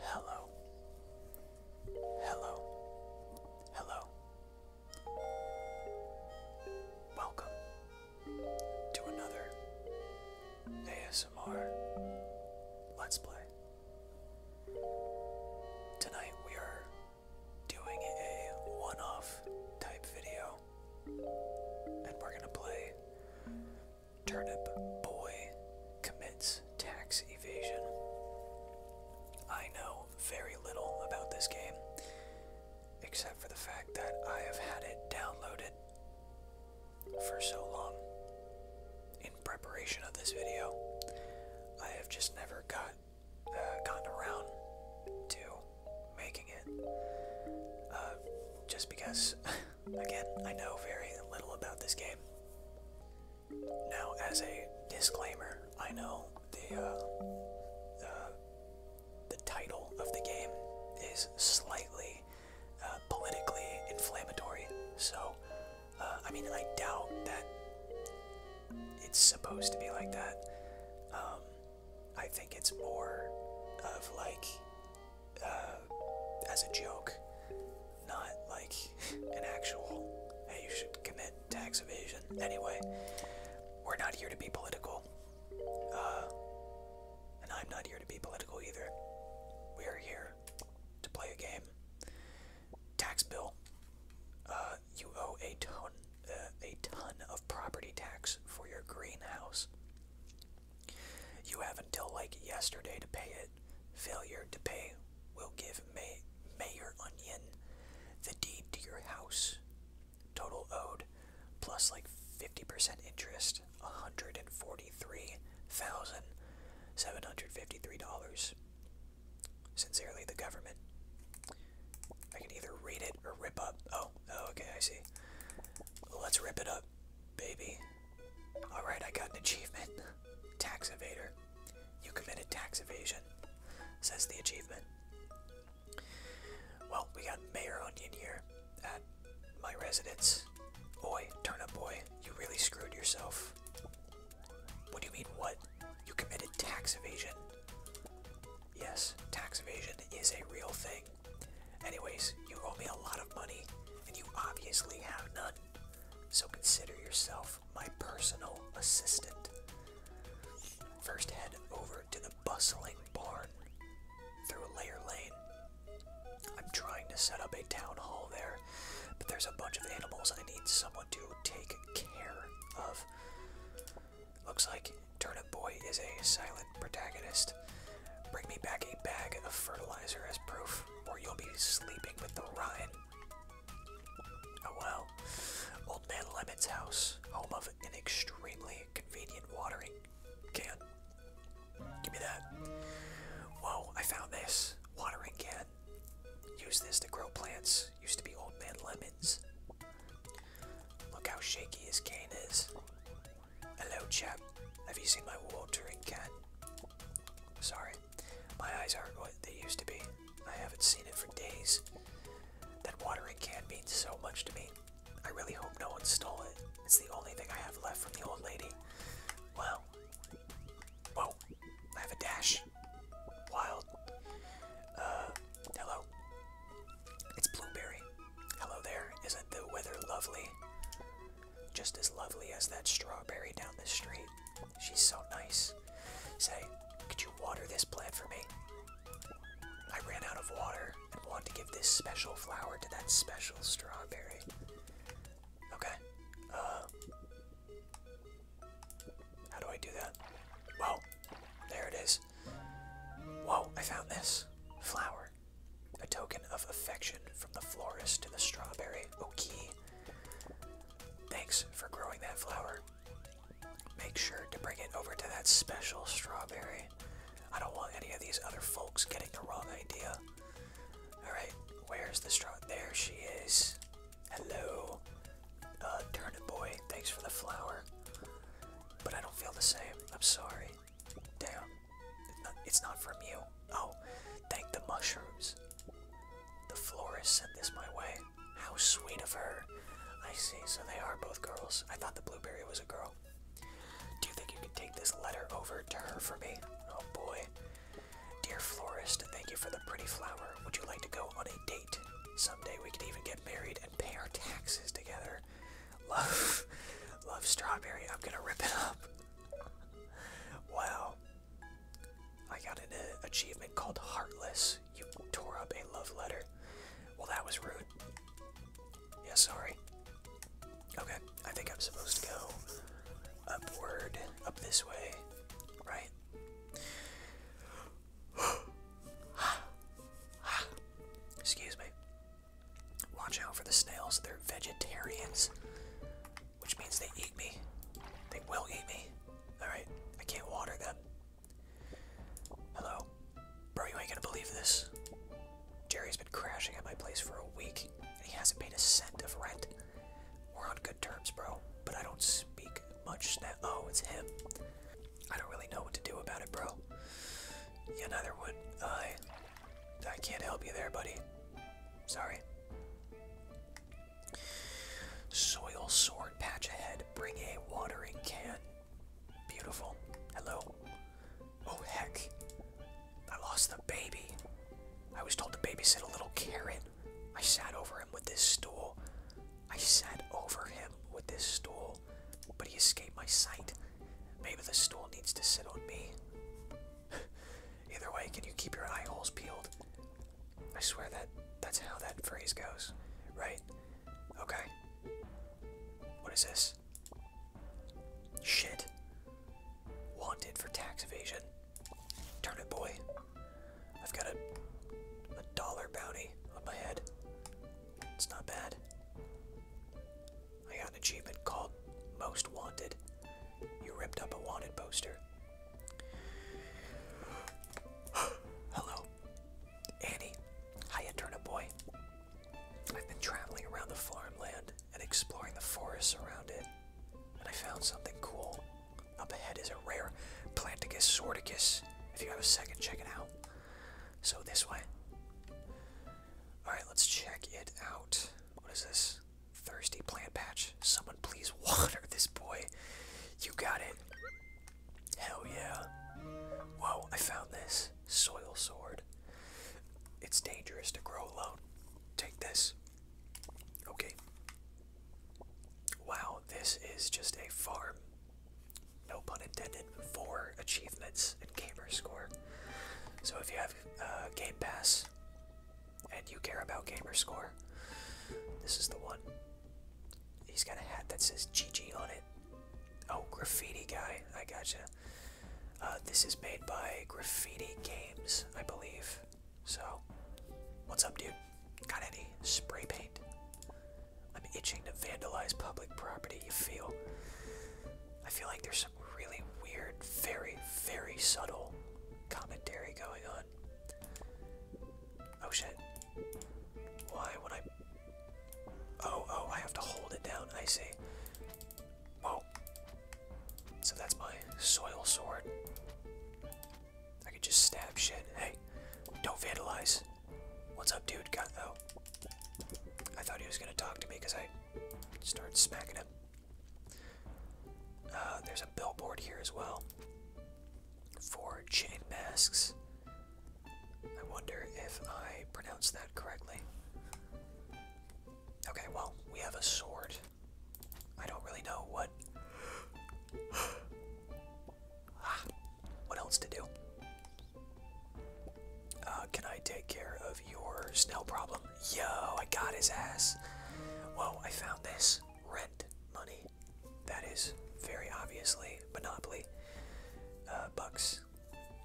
Hello. Hello. Hello. Welcome to another ASMR Let's Play. Tonight we are doing a one off type video and we're gonna play Turnip Boy Commits Tax Evasion. I know very little about this game, except for the fact that I have had it downloaded for so long. In preparation of this video, I have just never got uh, gotten around to making it. Uh, just because, again, I know very little about this game. Now, as a disclaimer, I know the, uh, the title of the game is slightly uh, politically inflammatory, so I mean, I doubt that it's supposed to be like that. Um, I think it's more of like uh, as a joke, not like an actual. Hey, you should commit tax evasion. Anyway, we're not here to be political, uh, and I'm not here to be political either. We are here to play a game. Tax bill. Uh, you owe a ton, uh, a ton of property tax for your greenhouse. You have until like yesterday to pay it. Failure to pay will give May Mayor Onion the deed to your house. Total owed plus like 50% interest, $143,753. Sincerely, the government. I can either read it or rip up. Oh, oh okay, I see. Let's rip it up, baby. Alright, I got an achievement. Tax evader. You committed tax evasion, says the achievement. Well, we got Mayor Onion here at my residence. Boy, turnip boy, you really screwed yourself. What do you mean, what? You committed tax evasion. Yes, tax evasion is a real thing. Anyways, you owe me a lot of money, and you obviously have none. So consider yourself my personal assistant. First, head over to the bustling barn through Layer Lane. I'm trying to set up a town hall there, but there's a bunch of animals I need someone to take care of. Looks like Turnip Boy is a silent protagonist. Bring me back a bag of fertilizer as proof, or you'll be sleeping with the Ryan. Oh well. Old Man Lemon's house, home of an extremely convenient watering can. Give me that. Whoa, I found this. Watering can. Use this to grow plants. Used to be Old Man Lemon's. Look how shaky his cane is. Hello, chap. Have you seen my watering can? Sorry, my eyes aren't what they used to be. I haven't seen it for days. That watering can means so much to me. I really hope no one stole it. It's the only thing I have left from the old lady. Wow. Whoa, I have a dash. Wild. Uh, hello. It's blueberry. Hello there. Isn't the weather lovely? Just as lovely as that strawberry down the street. She's so nice. Say, could you water this plant for me? I ran out of water and want to give this special flower to that special strawberry. Okay. Uh, how do I do that? Well, there it is. Whoa, I found this flower. A token of affection from the florist to the strawberry oki. Thanks for growing that flower. Make sure to bring it over to that special strawberry. I don't want any of these other folks getting the wrong idea. Alright, where's the straw? There she is. Hello. Uh, turnip boy, thanks for the flower. But I don't feel the same. I'm sorry. Damn. It's not from you. Oh, thank the mushrooms. The florist sent this my way. How sweet of her. I see, so they are both girls. I thought the blueberry was a girl. Do you think you could take this letter over to her for me? Oh boy. Dear florist, thank you for the pretty flower. Would you like to go on a date? Someday we could even get married and pay our taxes together. Love, love strawberry. I'm gonna rip it up. Wow. I got an uh, achievement called Heartless. You tore up a love letter. Well, that was rude. Yeah, sorry. Okay, I think I'm supposed to go upward, up this way, right? Excuse me. Watch out for the snails. They're vegetarians, which means they eat me. They will eat me. Alright, I can't water them. Hello. Bro, you ain't gonna believe this. Jerry's been crashing at my place for a week, and he hasn't paid a cent of rent. We're on good terms, bro, but I don't speak much that. Oh, it's him. I don't really know what to do about it, bro. Yeah, neither would I. I can't help you there, buddy. Sorry. Soil sword patch ahead. Bring a watering can. Beautiful. Hello. Oh, heck. I lost the baby. I was told to babysit a little carrot. I sat over him with this stool. I sat over him with this stool, but he escaped my sight. Maybe the stool needs to sit on me. Either way, can you keep your eye holes peeled? I swear that that's how that phrase goes, right? Okay. What is this? Shit. Wanted for tax evasion. Turn it, boy. I've got a a dollar bounty on my head. It's not bad. I got an achievement called Most Wanted. You ripped up a wanted poster. Hello. Annie. Hiya, turnip boy. I've been traveling around the farmland and exploring the forests around it, and I found something cool. Up ahead is a rare Planticus sorticus. If you have a second, check it out. So this way. Alright, let's check it out. What is this? Thirsty plant patch. Someone please water this boy. You got it. Hell yeah. Whoa, I found this. Soil sword. It's dangerous to grow alone. Take this. Okay. Wow, this is just a farm. No pun intended. For achievements and gamer score. So if you have uh, Game Pass and you care about gamer score, this is the one. He's got a hat that says GG on it. Oh, Graffiti Guy, I gotcha. Uh, this is made by Graffiti Games, I believe. So, what's up, dude? Got any spray paint? I'm itching to vandalize public property, you feel? I feel like there's really weird, very, very subtle commentary going on. Oh shit. Why would I. Oh, oh, I have to hold it down. I see. Whoa. Oh. So that's my soil sword. I could just stab shit. Hey, don't vandalize. What's up, dude? Got though. I thought he was gonna talk to me because I started smacking him. Uh, there's a billboard here as well for chain masks. I wonder if I pronounced that correctly. Okay, well, we have a sword. I don't really know what. what else to do? Uh, can I take care of your snail problem? Yo, I got his ass. Whoa, I found this. Rent money. That is very obviously Monopoly. Uh, bucks.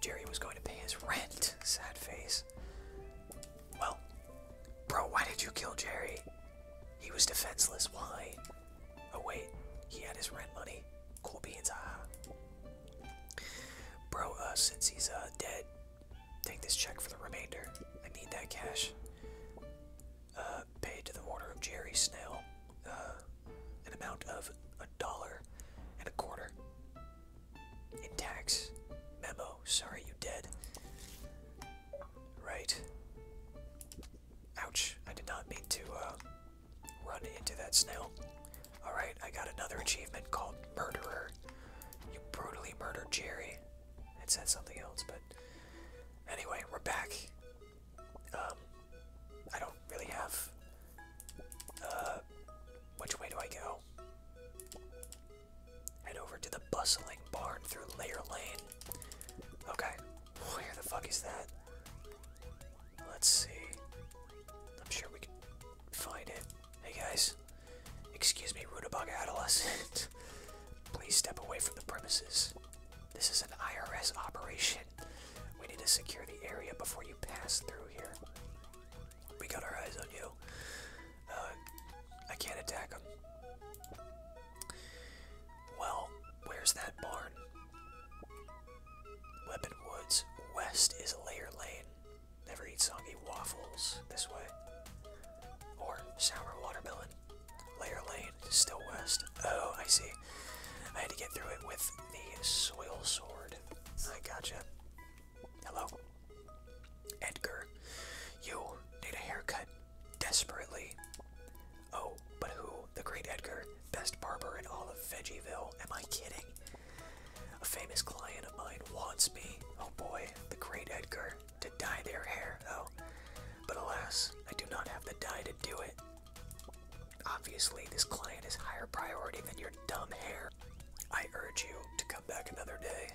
Jerry was going to pay his rent. Sad face. Well, bro, why did you kill Jerry? He was defenseless. Why? Oh, wait. He had his rent money. Cool beans. Ah. Bro, uh, since he's dead, Take this check for the remainder. I need that cash. Uh, paid to the order of Jerry Snell, uh, an amount of a dollar and a quarter. In tax. Memo. Sorry, you dead. Right. Ouch. I did not mean to, uh, run into that snail. Alright, I got another achievement called Murderer. You brutally murdered Jerry. It said something else, but anyway, we're back. Um, I don't really have. Uh, which way do I go? Head over to the bustling barn through Layer Lane. Okay, where the fuck is that? Let's see. I'm sure we can find it. Hey guys, excuse me, Rudabug Adolescent. Please step away from the premises. This is an IRS operation. We need to secure the area before you pass through here. We got our eyes on you. Uh, I can't attack him. Well, where's that barn? Weapon Woods. West is Layer Lane. Never eat soggy waffles this way. Or sour watermelon. Layer Lane, still west. Oh, I see. I had to get through it with the soil sword. I gotcha. Hello. Edgar. You need a haircut. Desperately. Oh, but who? The great Edgar. Best barber in all of Veggieville. Am I kidding? A famous client of mine wants me, oh boy, the great Edgar, to dye their hair, though. But alas, I do not have the dye to do it. Obviously, this client is higher priority than your dumb hair. I urge you to come back another day.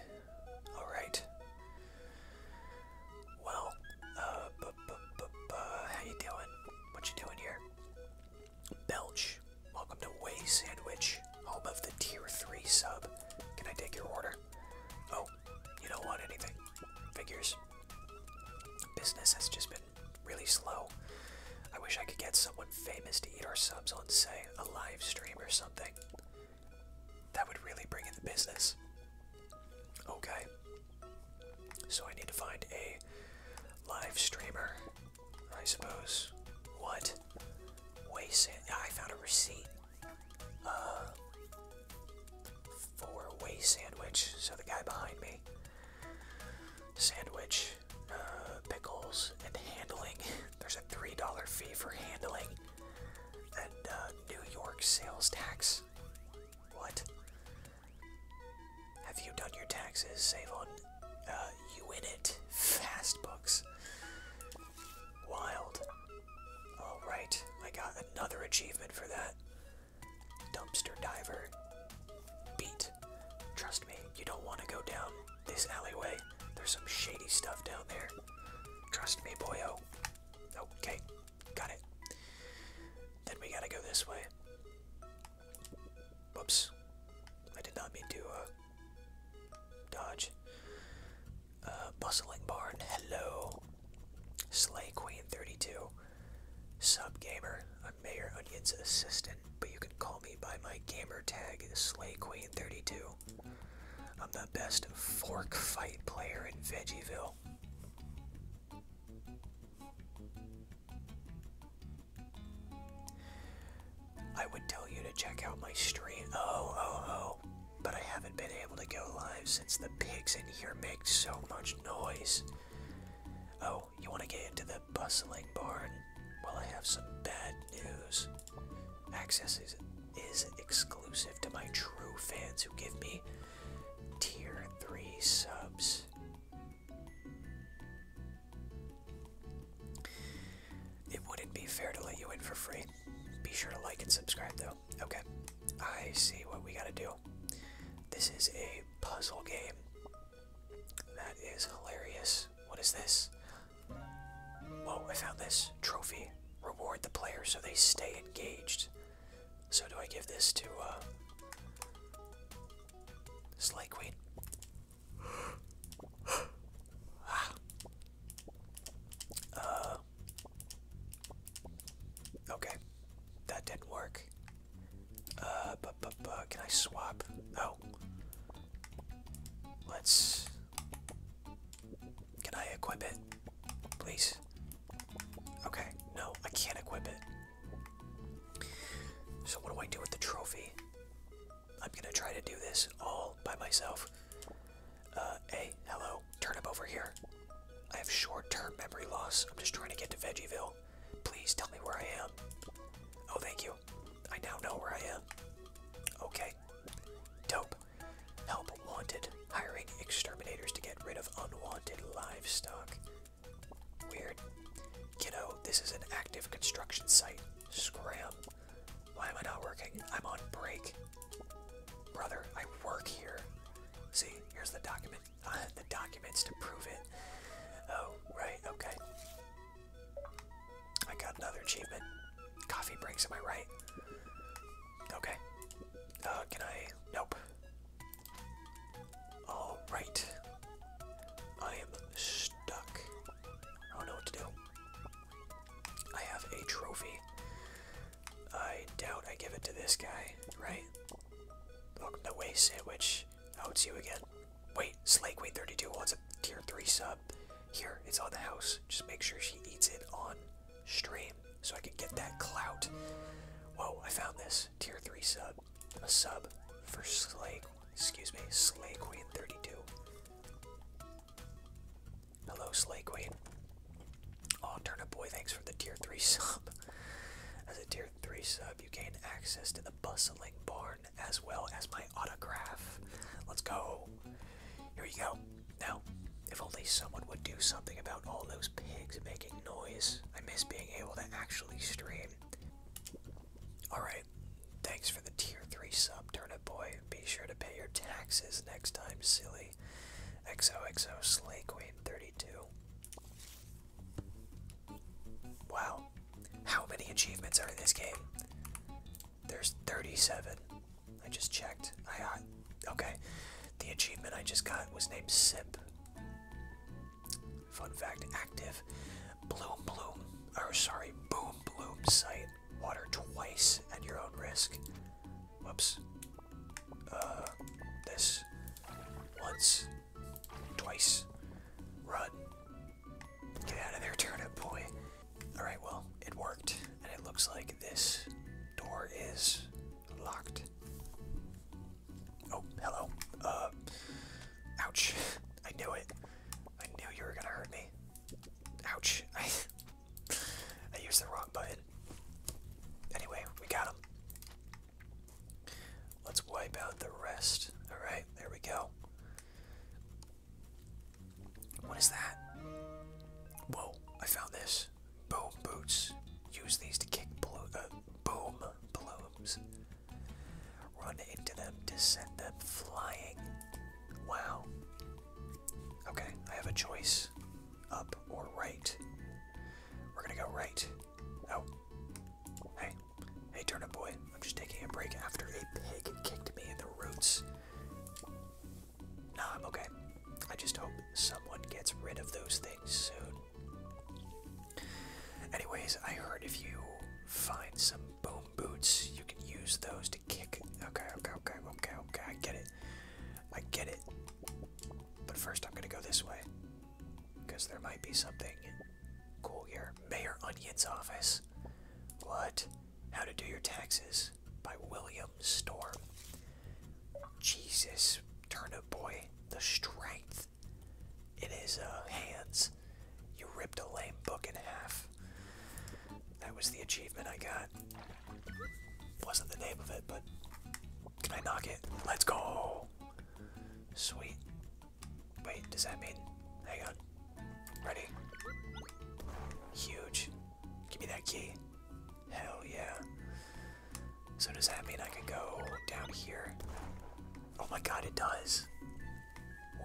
Alright. Well, uh, how you doing? What you doing here? Belch Welcome to Way Sandwich, home of the Tier 3 sub. Can I take your order? Oh, you don't want anything. Figures. Business has just been really slow. I wish I could get someone famous to eat our subs on, say, a live stream or something. That would really bring in the business. Okay. So I need to find a live streamer I suppose. What? Waste sand. I found a receipt. Uh, for a way sandwich. So the guy behind me. Sandwich, uh, pickles, and handling. There's a $3 fee for handling. And uh, New York sales tax. What? Have you done your taxes? Save on uh, you win it. Fast books. Wild. Alright, I got another achievement for that. Dumpster diver. Beat. Trust me, you don't want to go down this alleyway. There's some shady stuff down there. Trust me, boyo. Okay, got it. Then we gotta go this way. Whoops. I did not mean to uh, Dodge. Uh, Bustling Barn, hello. Slay Queen 32. Sub gamer, I'm Mayor Onion's assistant, but you can call me by my gamertag, Slay Queen 32. I'm the best fork fight player in Veggieville. I would tell you to check out my stream. Oh, oh, oh. But I haven't been able to go live since the pigs in here make so much noise. Oh, you want to get into the bustling barn? Well, I have some bad news. Access is, exclusive to my true fans who give me tier 3 subs. It wouldn't be fair to let you in for free. Be sure to like and subscribe, though. Okay, I see what we gotta do. This is a puzzle game. That is hilarious. What is this? Whoa, I found this. Trophy. Reward the player so they stay engaged. So do I give this to, uh... Uh, okay, that didn't work. Uh, but, but, but, can I swap? Oh, Let's. Can I equip it? Please. Okay, no, I can't equip it. So, what do I do with the trophy? I'm gonna try to do this all by myself. Uh, hey, hello, Turn up over here. I have short-term memory loss. I'm just trying to get to Veggieville. Please tell me where I am. Oh, thank you. I now know where I am. Okay. Dope. Help wanted. Hiring exterminators to get rid of unwanted livestock. Weird. Kiddo, this is an active construction site. Scram. Why am I not working? I'm on break. Brother, I work here. See, here's the document. I have the documents to prove it. Oh, right, okay. I got another achievement. Coffee breaks, am I right? Okay. Uh, can I? Nope. All right. I am stuck. I don't know what to do. I have a trophy. I doubt I give it to this guy, right? Welcome the Way Sandwich. Oh, see you again. Wait, Slake Queen 32 wants a tier 3 sub. Here, it's on the house. Just make sure she eats it on stream so I can get that clout. Whoa, I found this. Tier 3 sub. A sub for Slay, excuse me, Slay Queen 32. Hello, Slay Queen. Oh, Turnip Boy, thanks for the tier 3 sub. As a tier 3 sub, you gain access to the bustling barn as well as my autograph. Let's go. Here you go. Now, if only someone would do something about all those pigs making noise. I miss being able to actually stream. Alright, thanks for the tier 3 sub, Turnip Boy. Be sure to pay your taxes next time, silly. XOXO Slay Queen 32. Wow. How many achievements are in this game? There's 37. I just checked. I got okay. The achievement I just got was named SIP. Fun fact: active Bloom Bloom, or sorry, Boom Bloom Sight water twice at your own risk. Whoops. Uh, this. Once. Twice. Run. Get out of there, turnip boy. Alright, well, it worked. And it looks like this door is locked. Oh, hello. Uh, ouch. I knew it. I knew you were gonna hurt me. Ouch. I used the wrong button. Anyway, we got him. Let's wipe out the rest. Alright, there we go. What is that? Whoa, I found this. Boom boots. Use these to kick blo uh, boom blooms. Run into them to send them flying. Wow. Okay, I have a choice. Up or right. We're gonna go right. Oh. Hey. Hey, turnip boy. I'm just taking a break after a pig kicked me in the roots. Nah, I'm okay. I just hope someone gets rid of those things soon. Anyways, I heard if you find some boom boots, you can use those kick. Okay, okay, okay, okay, okay. I get it. I get it. But first, I'm gonna go this way because there might be something cool here. Mayor Onion's office. What? How to do your taxes by William Storm. Jesus, turnip boy, the strength in his uh, hands. You ripped a lame book in half. That was the achievement I got. Wasn't the name of it, but can I knock it? Let's go! Sweet. Wait, does that mean. Hang on. Ready? Huge. Give me that key. Hell yeah. So does that mean I can go down here? Oh my god, it does.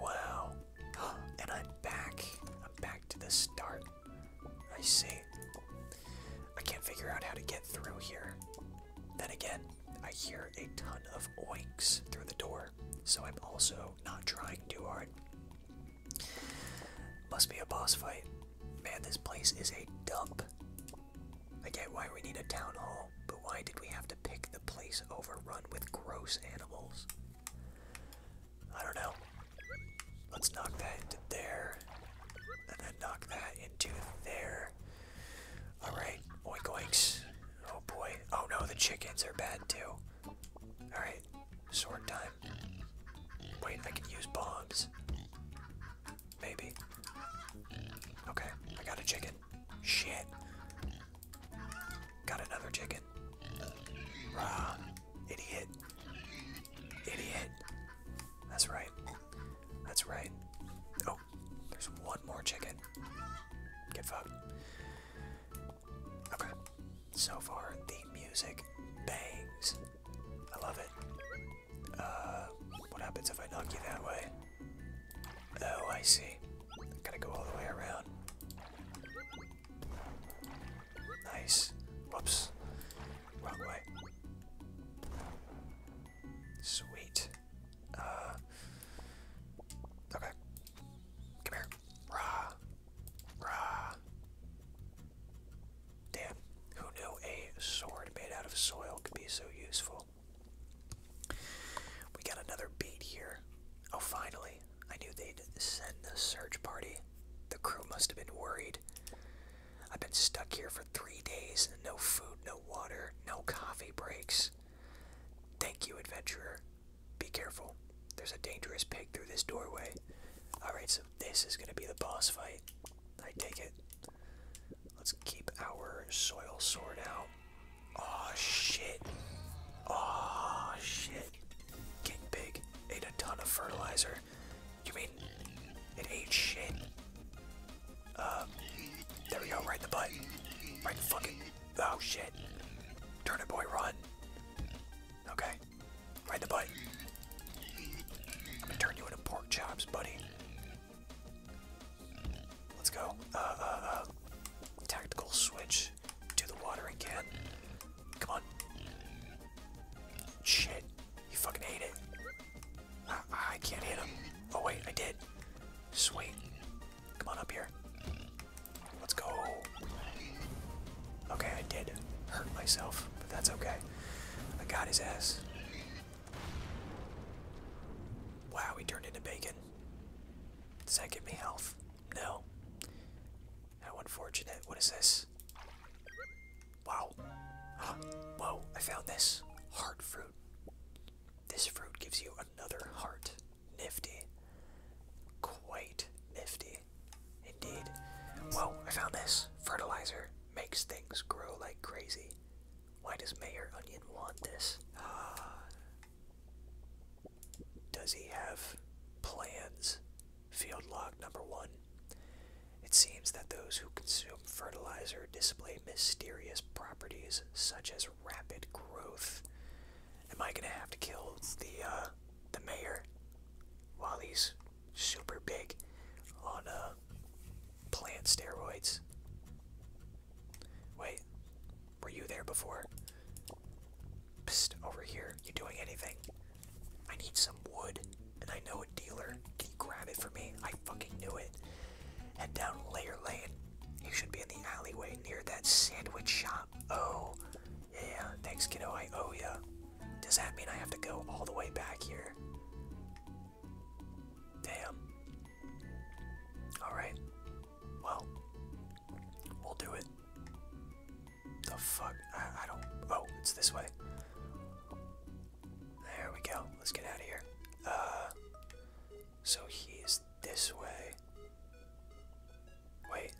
Wow. And I'm back. I'm back to the start. I see. I can't figure out how to get through here. Then again, I hear a ton of oinks through the door, so I'm also not trying too hard. Must be a boss fight. Man, this place is a dump. I get why we need a town hall, but why did we have to pick the place overrun with gross animals? I don't know. Let's knock that into there. And then knock that into there. Alright, oink oinks. Oh boy. Oh no, the chickens are bad too. Alright, sword time. Wait, I can use bombs. Maybe. Okay, I got a chicken. Shit. Got another chicken. Ah, idiot. Idiot. That's right. That's right. Oh, there's one more chicken. Get fucked. Okay. So far, the music bangs. I love it. Uh, what happens if I knock you that way? Oh, I see. I gotta go all the way around. Nice. Whoops. Wrong way. Sweet. Uh, okay. Come here. Rah. Rah. Damn. Who knew a sword made out of soil could be so useful? We got another beat here. Oh, finally. I knew they'd send the search party the crew must have been worried. I've been stuck here for three days, no food, no water, no coffee breaks. Thank you, adventurer. Be careful. There's a dangerous pig through this doorway. Alright, so this is gonna be the boss fight. I take it. Let's keep our soil sorted out. Oh shit. Oh shit. King pig ate a ton of fertilizer. You mean it ate shit? Uh, there we go, right the butt. Right the fucking. Oh shit. Turn it, boy, run. Okay. Right the butt. I'm gonna turn you into pork chops, buddy. Let's go. Uh, uh, uh. Tactical switch to the watering can. Come on. Shit. You fucking ate it. I, can't hit him. Oh, wait, I did. Sweet. Come on up here. Let's go. Okay, I did hurt myself, but that's okay. I got his ass. Wow, he turned into bacon. Does that give me health? No. How unfortunate. What is this? Wow. Whoa, I found this. Heart fruit. This fruit gives you another heart. Nifty. Quite nifty. Indeed. Whoa, I found this. Fertilizer makes things grow like crazy. Why does Mayor Onion want this? Ah. does he have plans Field log number one. It seems that those who consume fertilizer display mysterious properties such as rapid growth. Am I gonna have to kill the uh, the mayor while he's super big on uh, plant steroids? Wait, were you there before? over here. You doing anything? I need some wood, and I know a dealer. Can you grab it for me? I fucking knew it. Head down Layer Lane. You should be in the alleyway near that sandwich shop. Oh, yeah. Thanks, kiddo. I owe ya. Does that mean I have to go all the way back here? Damn. Alright. Well, we'll do it. The fuck? I, don't. Oh, it's this way. There we go. Let's get out of here. Uh. So he's this way. Wait.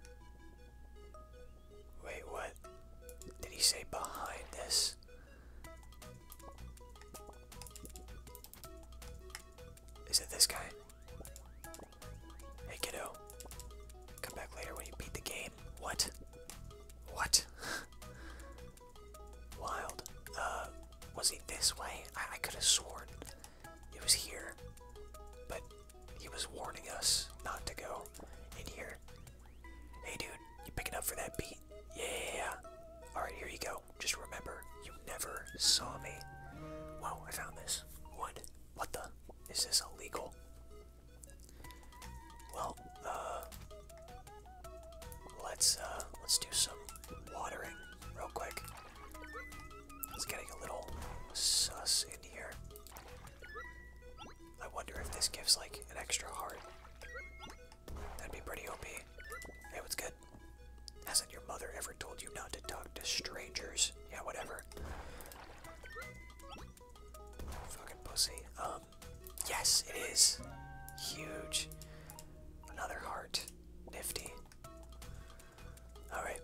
Wait, what? Did he say behind this? Is it this guy? Hey, kiddo. Come back later when you beat the game. What? What? Wild. Uh, was he this way? I, could have sworn it was here, but he was warning us not to go in here. Hey, dude, you picking up for that beat? Yeah. All right, here you go. Just remember, you never saw me. Whoa, I found this. What? What the? Is this illegal? Well, uh, let's uh, let's do some watering real quick. It's getting a little sus in here. I wonder if this gives like an extra heart. That'd be pretty OP. Hey, what's good? Hasn't your mother ever told you not to talk to strangers? Yeah, whatever. Fucking pussy. Um, yes, it is. Huge. Another heart. Nifty. Alright.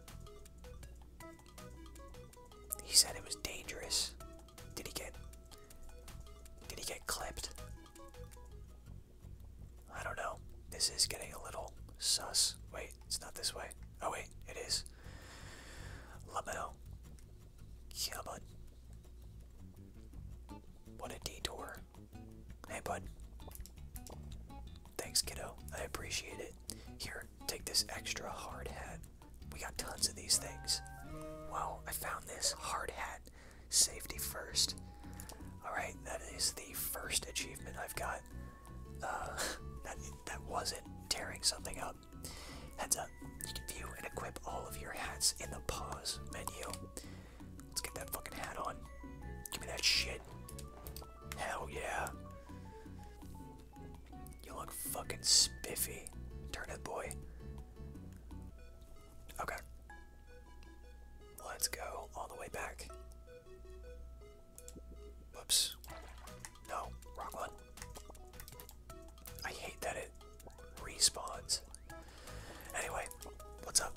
He said it was dangerous. Did he get. Did he get clipped? I don't know. This is getting a little sus. Wait, it's not this way. Oh, wait, it is. Lamel. Yeah, bud. What a detour. Hey, bud. Thanks, kiddo. I appreciate it. Here, take this extra hard hat. We got tons of these things. Wow, I found this hard hat. Safety first. Alright, that is the first achievement I've got. Uh, that, that wasn't tearing something up. Heads up, you can view and equip all of your hats in the pause menu. Let's get that fucking hat on. Give me that shit. Hell yeah. You look fucking spiffy, turnip boy. Okay. Let's go all the way back. Whoops. No, wrong I hate that it respawns. Anyway, what's up?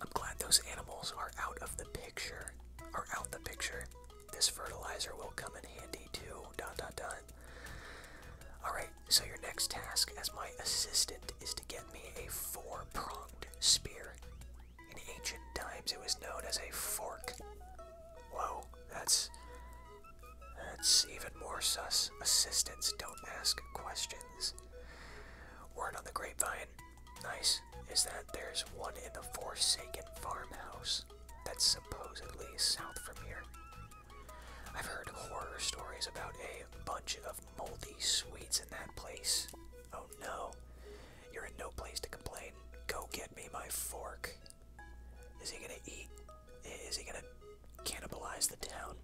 I'm glad those animals are out of the picture. Are out the picture. This fertilizer will come in handy too. Dot dot dot. Alright, so your next task as my assistant is to get me a four pronged spear. In ancient times, it was known as a fork. Whoa, that's that's even more sus. Assistants don't ask questions. Word on the grapevine, nice, is that there's one in the Forsaken farmhouse that's supposedly south from here. I've heard horror stories about a bunch of moldy sweets in that place. Oh no. You're in no place to complain. Go get me my fork. Is he gonna eat? Is he gonna cannibalize the town?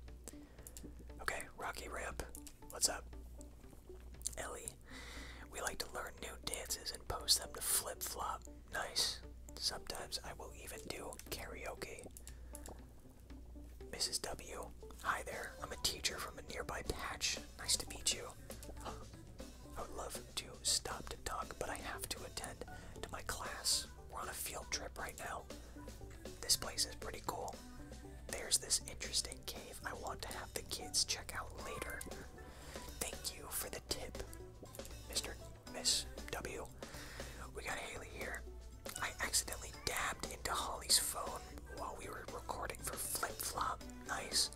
Okay, Rocky Ramp, what's up? Ellie, we like to learn new dances and post them to flip flop. Nice. Sometimes I will even do karaoke. Mrs. W, hi there. I'm a teacher from a nearby patch. Nice to meet you. I would love to stop to talk, but I have to attend to my class. We're on a field trip right now. This place is pretty cool. There's this interesting cave I want to have the kids check out later. Thank you for the tip, Mr. Miss W. We got Haley here. I accidentally dabbed into Holly's phone while we were recording for Flip Flop. Nice.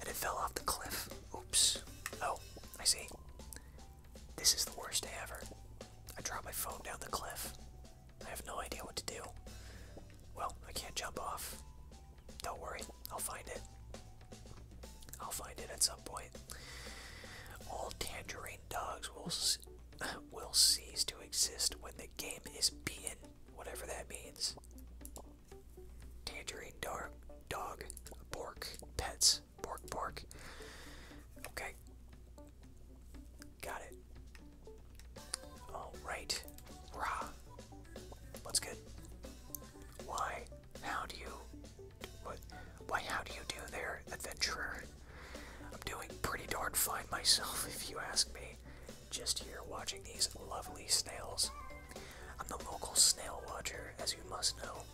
And it fell off the cliff. Oops. Oh, I see. This is the worst day ever. I dropped my phone down the cliff. I have no idea what to do. Well, I can't jump off. Don't worry, I'll find it. I'll find it at some point. All tangerine dogs will will cease to exist when the game is beaten, whatever that means. Tangerine dog, dog, pork pets. Pork, pork. Okay. Got it. Alright. Rah. What's good? Why? How do you. What? Why, how do you do there, adventurer? I'm doing pretty darn fine myself, if you ask me. Just here watching these lovely snails. I'm the local snail watcher, as you must know.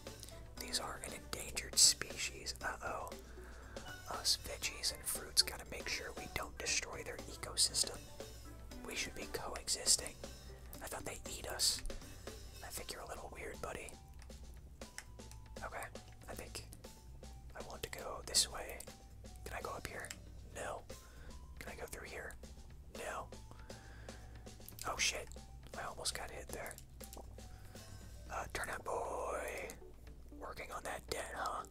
These are an endangered species. Uh-oh. Us veggies and fruits gotta make sure we don't destroy their ecosystem. We should be coexisting. I thought they eat us. I think you're a little weird, buddy. Okay, I think I want to go this way. Can I go up here? No. Can I go through here? No. Oh shit, I almost got hit there there. Uh, Boy, working on that debt, huh?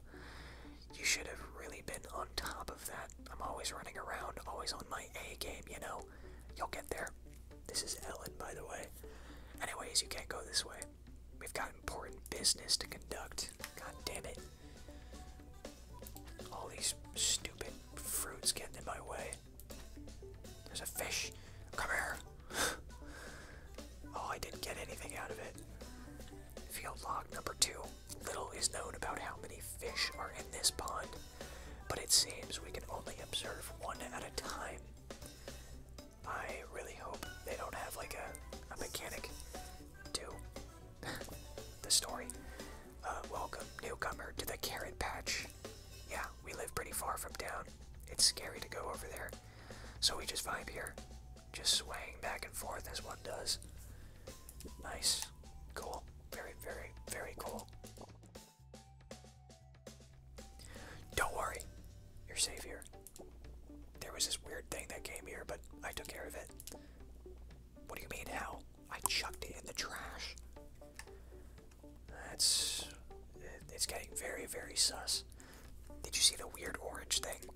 You should have really been on top of that. I'm always running around, always on my A game, you know? You'll get there. This is Ellen, by the way. Anyways, you can't go this way. We've got important business to conduct. God damn it. All these stupid fruits getting in my way. There's a fish. Come here. oh, I didn't get anything out of it. Field log number two. Little is known about how many fish are in this pond, but it seems we can only observe one at a time. I really hope they don't have like a, a mechanic to the story. Uh, welcome, newcomer, to the carrot patch. Yeah, we live pretty far from town. It's scary to go over there. So we just vibe here. Just swaying back and forth as one does. Nice. Cool. Very, very, very cool. Don't worry. You're safe here. There was this weird thing that came here, but I took care of it. What do you mean, how? I chucked it in the trash. That's. Uh, it's getting very, very sus. Did you see the weird orange thing?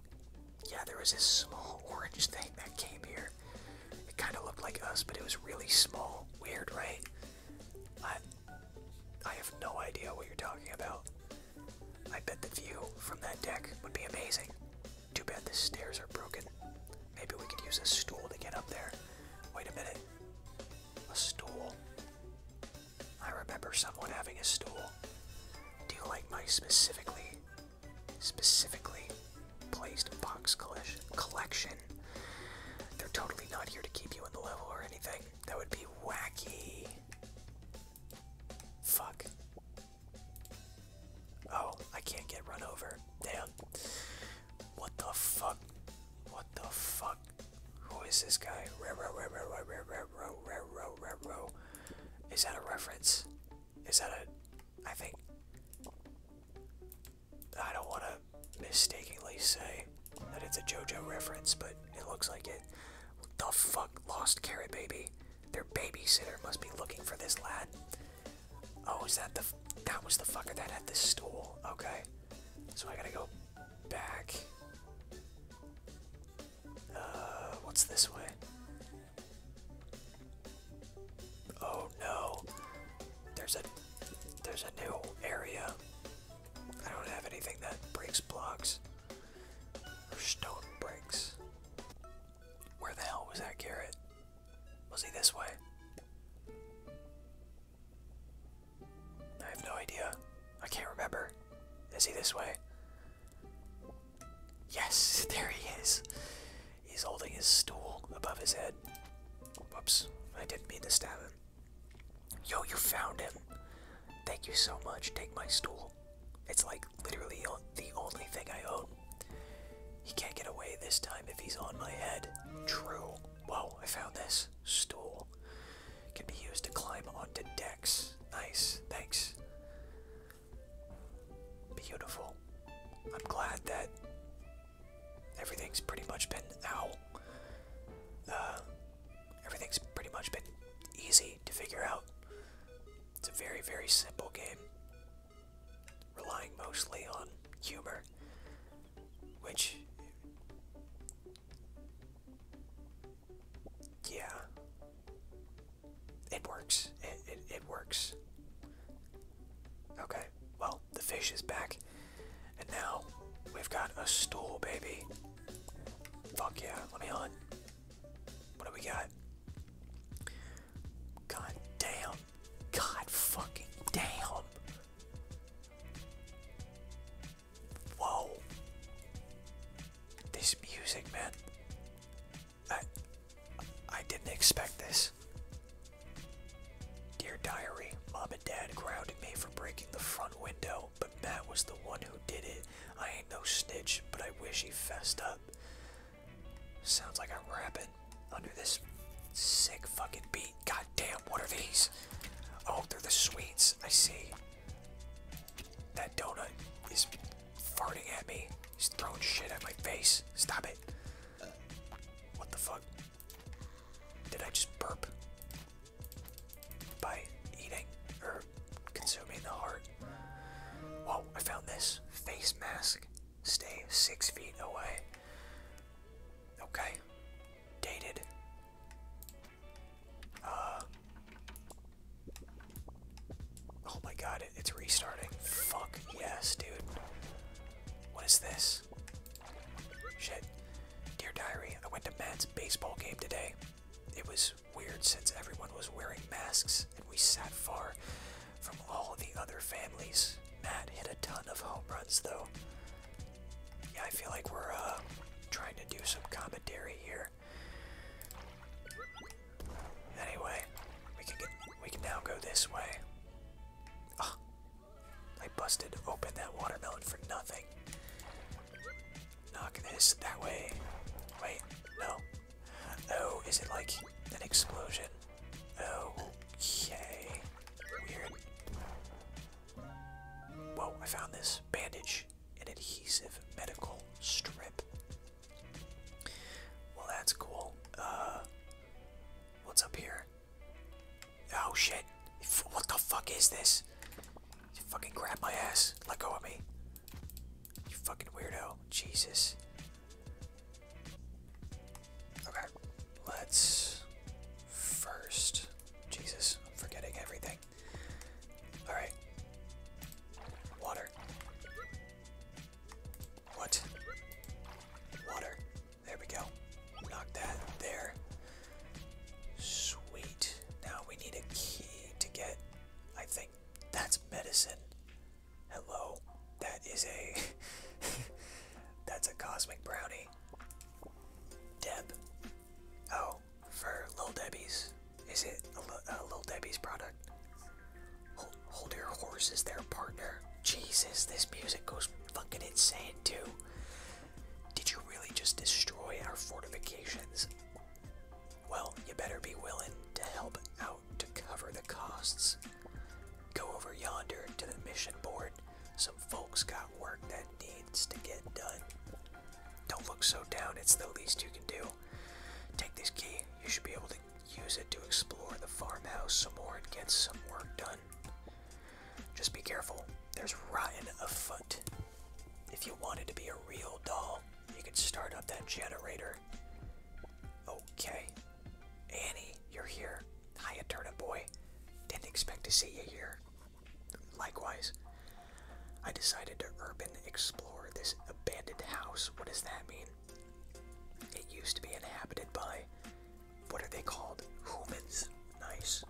Yeah, there was this small orange thing that came here. It kind of looked like us, but it was really small. Weird, right? I, I have no idea what you're talking about. I bet the view from that deck would be amazing. Too bad the stairs are broken. Maybe we could use a stool to get up there. Wait a minute. A stool? I remember someone having a stool. Do you like my specifically, specifically placed box collection? They're totally not here to keep you in the level or anything. That would be wacky. Fuck. Oh, I can't get run over. Damn. What the fuck? What the fuck? Who is this guy? Is that a reference? Is that a. I think. I don't want to mistakenly say that it's a JoJo reference, but it looks like it. The fuck, lost carrot baby. Their babysitter must be looking for this lad. Oh, is that the? That was the fucker that had the stool. Okay, so I gotta go back. Uh, what's this way? Oh no. There's a there's a new area. I don't have anything that breaks blocks. stone breaks. Where the hell was that carrot? Was he this way? I have no idea. I can't remember. Is he this way? Yes, there he is. He's holding his stool above his head. Whoops, I didn't mean to stab him. Yo, you found him. Thank you so much. Take my stool. It's like literally the only thing I own. He can't get away this time if he's on my head. True. Whoa, I found this stool can be used to climb onto decks. Nice, thanks. Beautiful. I'm glad that everything's pretty much been out. Uh, everything's pretty much been easy to figure out. It's a very, very simple game, relying mostly on humor, which yeah. It works. It, it, it works. Okay, well, the fish is back. And now we've got a stool, baby. Fuck yeah, let me hunt. What do we got? God damn. God fucking damn. Whoa. This music, man. I I didn't expect this. Dear diary, mom and dad grounded me for breaking the front window, but Matt was the one who did it. I ain't no snitch, but I wish he fessed up. Sounds like I'm rapping under this sick fucking beat. God damn, what are these? Oh, they're the sweets. I see. That donut is farting at me. He's throwing shit at my face. Stop it. What the fuck? Did I just burp? By eating or consuming the heart. Whoa, I found this. Face mask. Stay six feet away. Okay. Dated uh, oh my god, it's restarting. Fuck yes, dude. What is this? Shit. Dear Diary, I went to Matt's baseball game today. It was weird since everyone was wearing masks and we sat far from all the other families. Matt hit a ton of home runs though yeah, I feel like we're uh, trying to do some commentary here. Anyway, we can we can now go this way. I busted open that watermelon for nothing. Knock this that way. Wait, no. Oh, is it like an explosion? Oh, okay. Weird. Whoa, I found this bandage an adhesive medical strip. Well, that's cool. Uh, what's up here? Oh shit! What the fuck is this? You fucking grab my ass. Let go of me. You fucking weirdo. Jesus. Okay, let's first. Jesus, I'm forgetting everything. Alright. Water. What? Water. There we go. Knock that there. Sweet. Now we need a key to get. I think that's medicine. Hello. That is a. that's a cosmic brownie. Deb. Oh, for Lil Debbie's. Is it a, a Lil Debbie's product? Hold, hold your horses there, partner. Jesus, this music goes fucking insane, too. Did you really just destroy our fortifications? Well, you better be willing to help out to cover the costs. Go over yonder to the mission board. Some folks got work that needs to get done. Don't look so down, it's the least you can do. Take this key, you should be able to use it to explore the farmhouse some more and get some work done. Just be careful, there's rotten afoot. If you wanted to be a real doll, you could start up that generator. Okay. Annie, you're here. Hiya, turnip boy. Didn't expect to see you here. Likewise, I decided to urban explore this abandoned house. What does that mean? It used to be inhabited by, what are they called? Humans. Nice.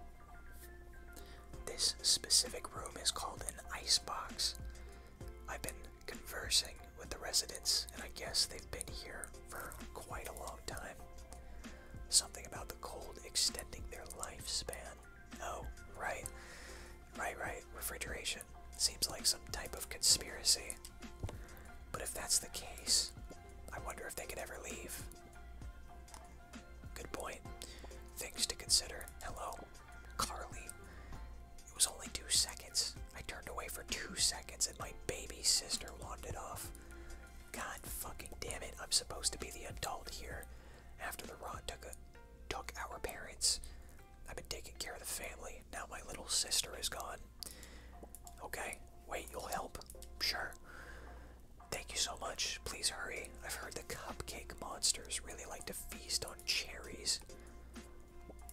This specific room is called an ice box. I've been conversing with the residents, and I guess they've been here for quite a long time. Something about the cold extending their lifespan. No, right. Right, right. Refrigeration. Seems like some type of conspiracy. But if that's the case, I wonder if they could ever leave. Good point. Things to consider. Hello, Carly. It was only two seconds. I turned away for two seconds and my baby sister wandered off. God fucking damn it, I'm supposed to be the adult here after the run took took our parents. I've been taking care of the family. Now my little sister is gone. Okay, wait, you'll help? Sure. Thank you so much. Please hurry. I've heard the cupcake monsters really like to feast on cherries.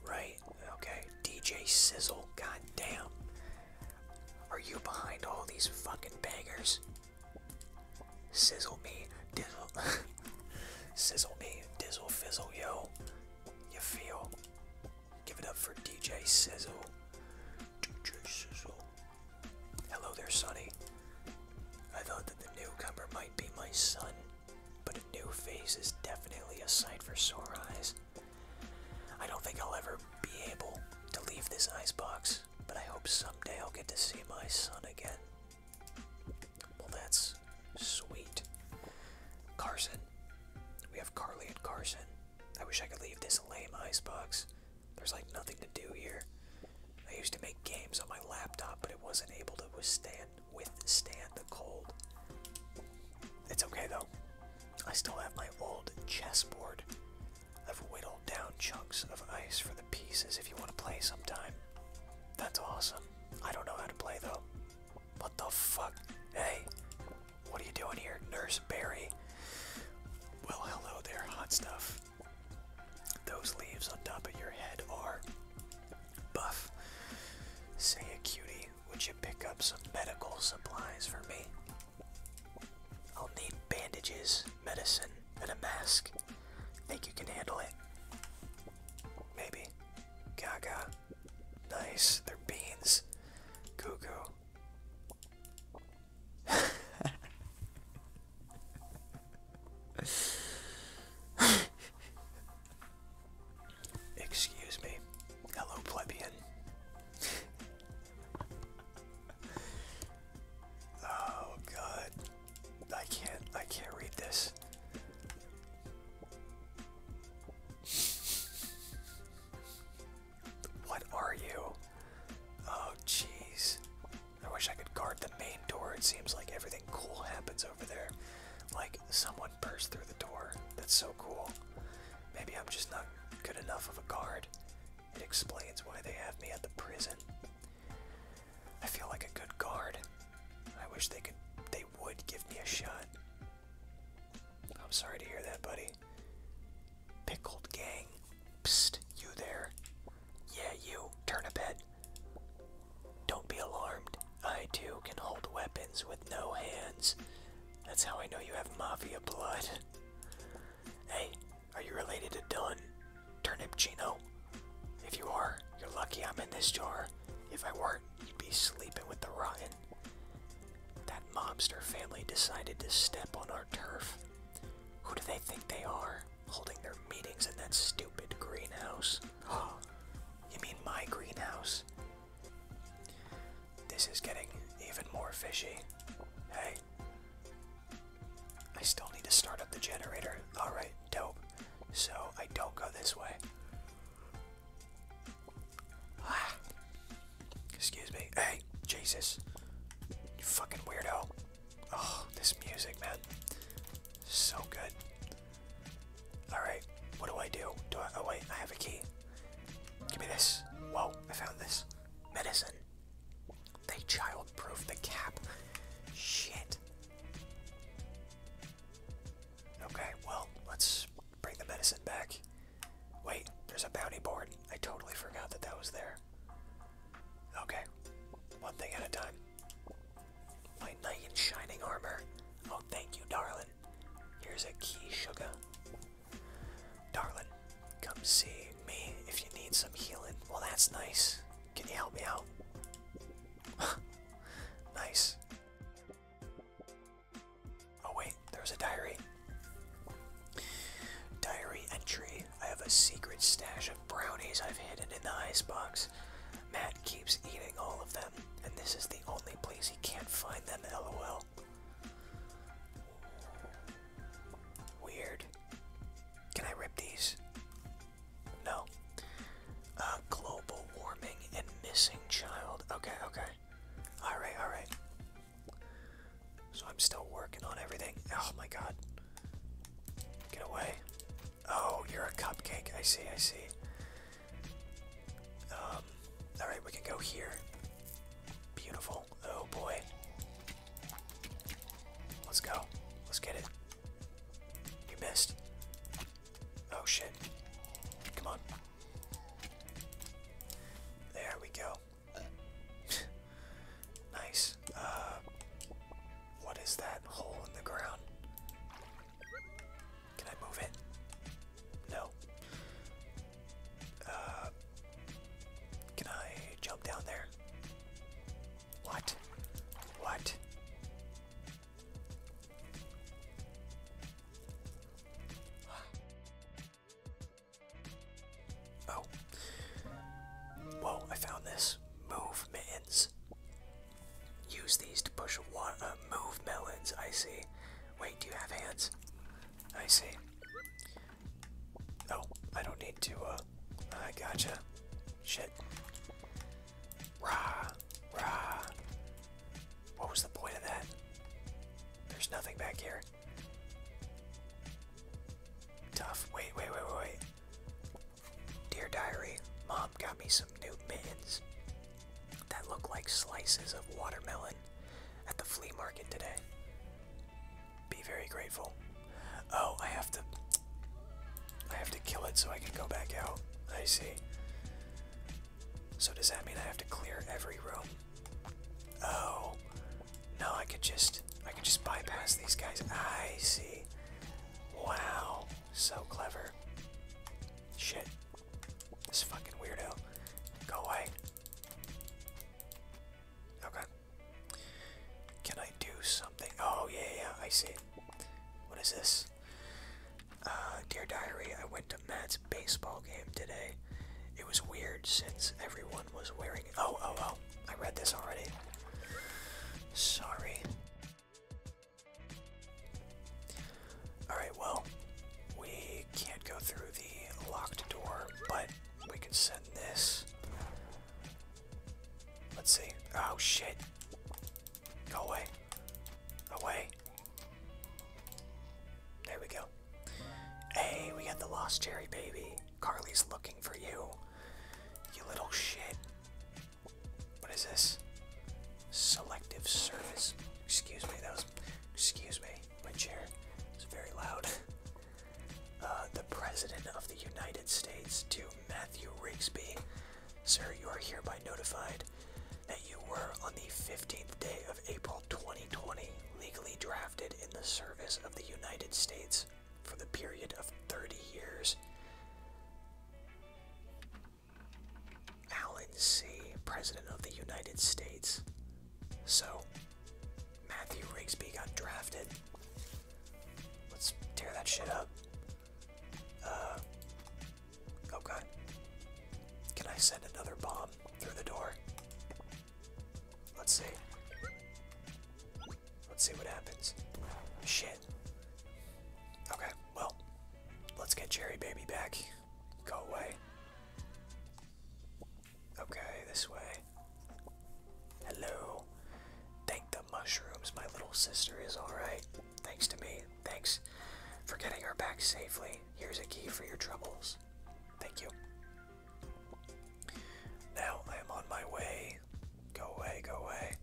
Right? Okay. DJ Sizzle. goddamn. Are you behind all these fucking beggars? Sizzle me, dizzle. Sizzle me, dizzle, fizzle, yo. You feel? Give it up for DJ Sizzle. DJ Sizzle. Hello there, Sonny. I thought that the newcomer might be my son, but a new face is definitely a sight for sore eyes. I don't think I'll ever be able to leave this icebox, but I hope someday I'll get to see my son again. Well, that's sweet. Carson. We have Carly and Carson. I wish I could leave this lame icebox. There's like nothing to do here. I used to make games on my laptop, but it wasn't able to withstand withstand the cold. It's okay though. I still have my old chessboard. I've whittled down chunks of ice for the pieces if you want to play sometime. That's awesome. I don't know how to play though. What the fuck? Hey, what are you doing here, Nurse Barry? Well, hello there, hot stuff. Those leaves on top of your head are buff. Say a cutie, would you pick up some medical supplies for me? I'll need bandages medicine, and a mask. Think you can handle it? Maybe. Gaga. Nice. They're beans. Cuckoo. Excuse me. Hello, plebeian. oh, God. I can't I can't read this. What are you? Oh jeez. I wish I could guard the main door. It seems like everything cool happens over there. Like someone burst through the door. That's so cool. Maybe I'm just not good enough of a guard. It explains why they have me at the prison. I feel like a good guard. I wish they could they would give me a shot. I'm sorry to hear that, buddy. Pickled gang. Psst, you there. Yeah, you, Turn a bit. Don't be alarmed. I too can hold weapons with no hands. That's how I know you have mafia blood. Hey, are you related to Dunn? Turnip Chino. If you are, you're lucky I'm in this jar. If I weren't, you'd be sleeping with the Ryan. That mobster family decided to step on our turf. Who do they think they are, holding their meetings in that stupid greenhouse? Oh, you mean my greenhouse? This is getting even more fishy. Hey. I still need to start up the generator. Alright, dope. So I don't go this way. Excuse me. Hey, Jesus. You fucking weirdo. Oh, this music, man. So good. Alright, what do I do? Do I. Oh, wait, I have a key. Give me this. Whoa, I found this. Medicine. They childproof the cap. Shit. Okay, well, let's bring the medicine back. Wait, there's a bounty board. I totally forgot that that was there. Okay, one thing at a time. My knight in shining armor. Oh, thank you, darling. Here's a key, sugar. Darling, come see me if you need some healing. Well, that's nice. Can you help me out? Nice. Oh wait, there's a diary. Diary entry. I have a secret stash of brownies I've hidden in the box. Matt keeps eating all of them, and this is the only place he can't find them, lol. Weird. Can I rip these? No. Uh, global warming and missing child. Okay, okay. Alright, alright. So I'm still working on everything. Oh my god. Get away. Oh, you're a cupcake. I see, I see. Um, alright, we can go here. Beautiful. Oh boy. Let's go. Let's get it. You missed. Oh shit. Come on. There we go. nice. Uh, what is that hole in the ground? Can I move it? No. Uh, can I jump down there? What? What? Oh. Whoa, I found this. Move mittens. Use these to push water. Uh, move melons, I see. Wait, do you have hands? I see. Oh, I don't need to, uh. I gotcha. Shit. Rah, rah. What was the point of that? There's nothing back here. Tough. Wait, wait, wait, wait, wait. Dear Diary, Mom got me some new mittens that look like slices of watermelon at the flea market today. Be very grateful. Oh, I have to. I have to kill it so I can go back out. I see. So does that mean I have to clear every room? Oh. No, I could just I could just bypass these guys. I see. Wow. So clever. Shit. This fucking weirdo. Go away. Okay. Can I do something? Oh yeah, yeah, I see. What is this? Uh, dear Diary, I went to Matt's baseball game today. It was weird since everyone was wearing. Oh, oh, oh. I read this already. Sorry. Alright, well, we can't go through the locked door, but we can send this. Let's see. Oh, shit. Go away. Away. There we go. Hey, we got the lost cherry baby. Carly's looking for you. You little shit. What is this? Selective service. Excuse me, that was. Excuse me, my chair is very loud. Uh, the President of the United States to Matthew Rigsby. Sir, you are hereby notified that you were on the 15th day of April 2020 legally drafted in the service of the United States for the period of 30 years. Alan C., President of the United States. So, Matthew Rigsby got drafted. Let's tear that shit up. Uh, okay. Oh Can I send another bomb through the door? Let's see. Let's see what happens. Shit. Okay, well, let's get Cherry Baby back. Go away. Okay, this way. Hello. Thank the mushrooms, my little sister is alright. Thanks to me. Thanks for getting her back safely. Here's a key for your troubles. Thank you. Now I am on my way. Go away, go away.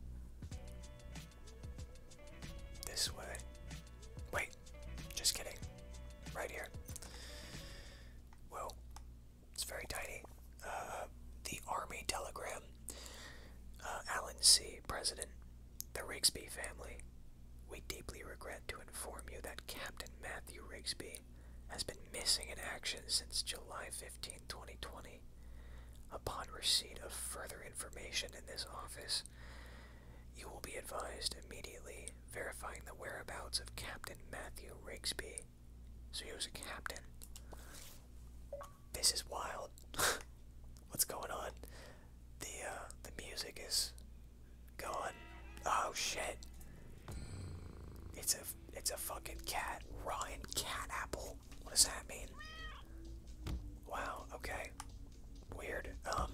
This way. Wait, just kidding. Right here. Whoa, it's very tiny. Uh, the Army Telegram. Uh, Alan C., President, the Rigsby family, we deeply regret to inform you that Captain Matthew Rigsby has been missing in action since July 15, 2020. Upon receipt of further information in this office, you will be advised immediately verifying the whereabouts of Captain Matthew Rigsby. So he was a captain this is wild. What's going on? The uh, the music is gone. Oh shit! It's a it's a fucking cat. Ryan cat apple. What does that mean? Wow. Okay. Weird. Um.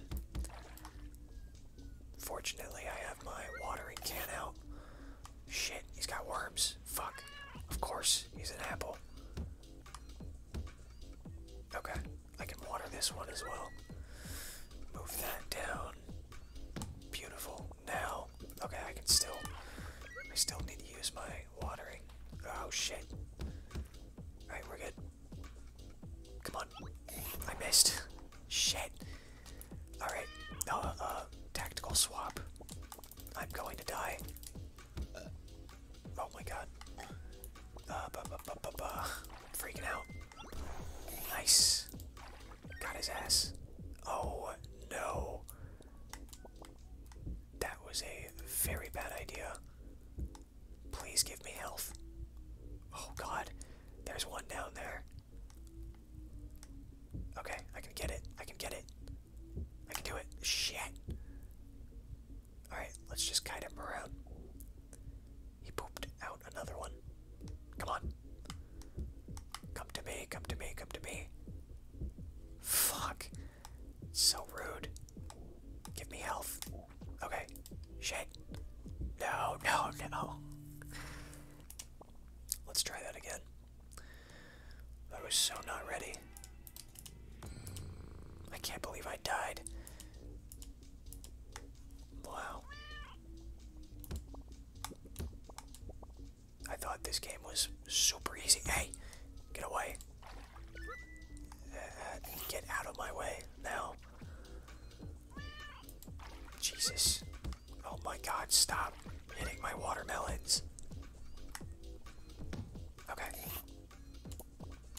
Fortunately, I have my watering can out. Shit, he's got worms. Fuck. Of course, he's an apple. Okay, I can water this one as well. Move that down. Beautiful. Now, okay, I can still, I still need to use my watering. Oh shit. Alright, we're good. Come on. I missed. Shit. Alright, uh, uh tactical swap. I'm going to die. Uh, oh my god. Uh, bu Freaking out. Nice. Got his ass. Oh no. That was a very bad idea. Please give me health. Oh god. There's one down there. Okay, I can get it. I can get it. I can do it. Shit. Alright, let's just guide him around. He pooped out another one. Come on. Come to me, come to me, come to me. Fuck. So rude. Give me health. Okay. Shit. No, no, no. Let's try that again. I was so not ready. I can't believe I died. Wow. I thought this game was super easy. Hey, get away. Uh, get out of my way now. Jesus. Oh my god, stop hitting my watermelons. Okay.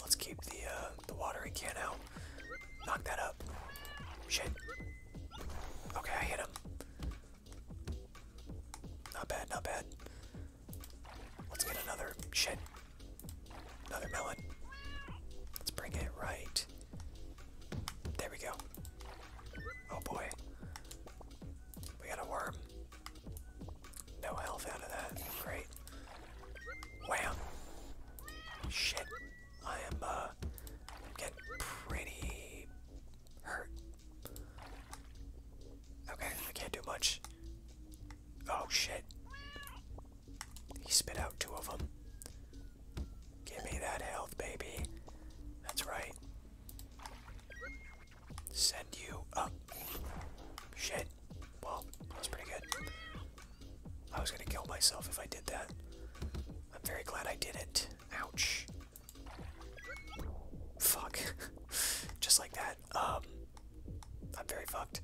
Let's keep the uh, the watering can out. Knock that up. Shit. Okay, I hit him. Not bad, not bad. Let's get another shit. Another melon. Let's bring it right. There we go. Oh boy. We got a worm. No health out of that. Great. Wow. Shit. I am, uh, getting pretty hurt. Okay, I can't do much. Oh, shit. He spit out two of them. Give me that health, baby. That's right. Send you up. Shit. Well, that was pretty good. I was gonna kill myself if I did that. I'm very glad I did it. Ouch. Fuck. Just like that. Um, I'm very fucked.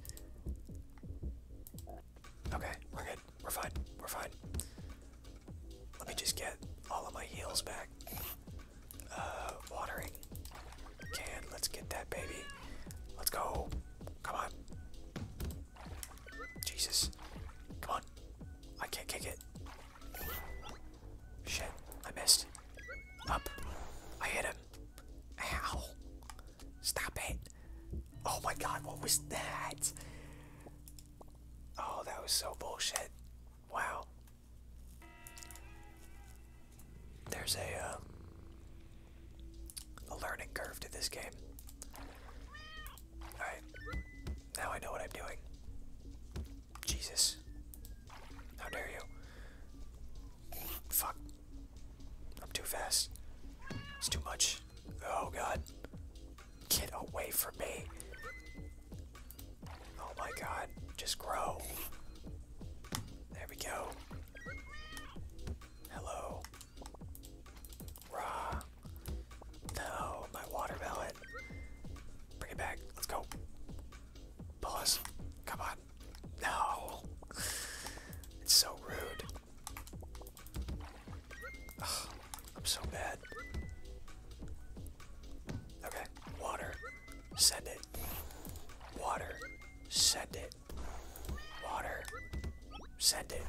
Okay, we're good. We're fine. We're fine. Let me just get all of my heels back. Uh, watering can. Let's get that baby. Let's go. Come on. Jesus. Come on. I can't kick it. Shit. I missed. Up. I hit him. Ow. Stop it. Oh my god, what was that? Oh, that was so bullshit. Wow. There's a um, a learning curve to this game. All right, now I know what I'm doing. Jesus, how dare you? Fuck, I'm too fast. It's too much. Oh god, get away from me! Oh my god, just grow. There we go. Hello. Rah. No, my water pellet. Bring it back. Let's go. Pause. Come on. No. It's so rude. I'm so bad. Okay. Water. Send it. Water. Send it. Water. Send it.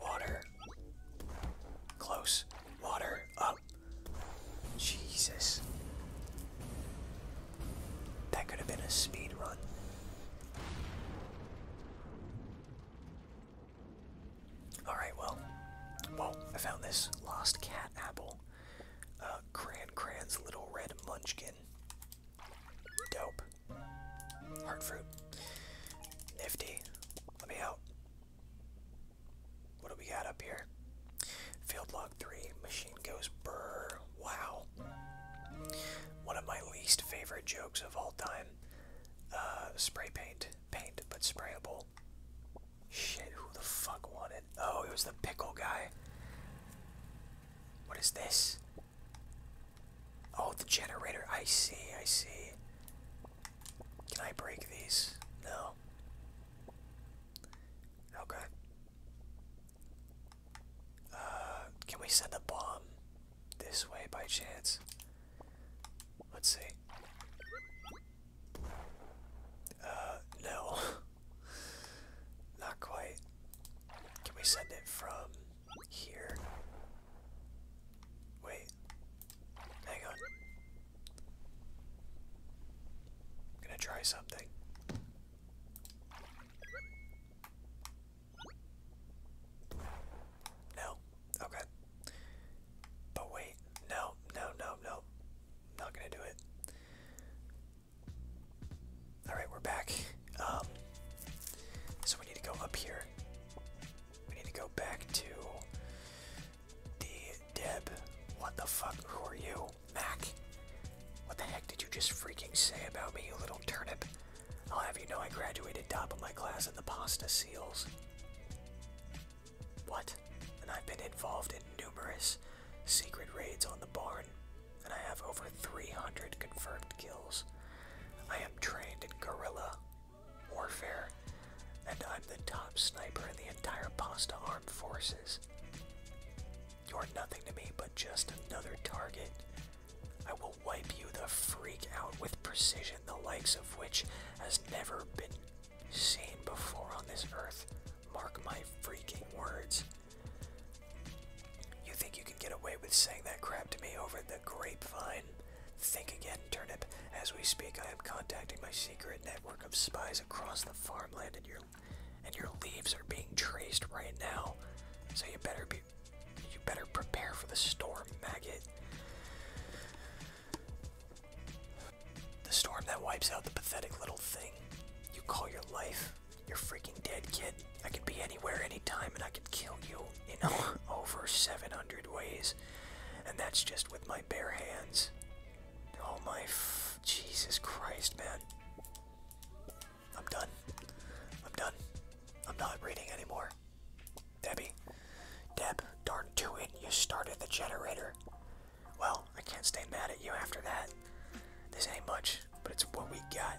Water. Close. Water. Up. Jesus. That could have been a speed run. Alright, well. Well, I found this lost cat apple. Uh, Cran Cran's little red munchkin. Dope. Heart fruit. Nifty. Let me out. What do we got up here? Field log 3. Machine goes brr. Wow. One of my least favorite jokes of all time. Uh, spray paint. Paint, but sprayable. Shit, who the fuck wanted? Oh, it was the pickle guy. What is this? Oh, the generator. I see, I see. Can I break these? No. Okay. Oh, uh, can we send a bomb this way by chance? Let's see. Uh, no. Not quite. Can we send it from here? Wait. Hang on. I'm gonna try something. No. Okay. But wait. No, no, no, no. Not gonna do it. All right, we're back. Um, so we need to go up here. We need to go back to the Deb. What the fuck? Who are you, Mac? What the heck did you just freaking say about me, you little turnip? I'll have you know I graduated top of my class in the pasta seals. What? And I've been involved in numerous secret raids on the barn and I have over 300 confirmed kills. I am trained in guerrilla warfare, and I'm the top sniper in the entire Pasta Armed Forces. You're nothing to me but just another target. I will wipe you the freak out with precision the likes of which has never been seen before on this earth. Mark my freaking words. You think you can get away with saying that crap to me over the grapevine? Think again, Turnip. As we speak, I am contacting my secret network of spies across the farmland, and your and your leaves are being traced right now. So you better be, you better prepare for the storm, maggot. The storm that wipes out the pathetic little thing you call your life. You're freaking dead, kid. I could be anywhere, anytime, and I could kill you in over 700 ways. And that's just with my bare hands. Oh my f Jesus Christ, man. I'm done. I'm done. I'm not reading anymore. Debbie. Deb, darn to it, you started the generator. Well, I can't stay mad at you after that. This ain't much but it's what we got.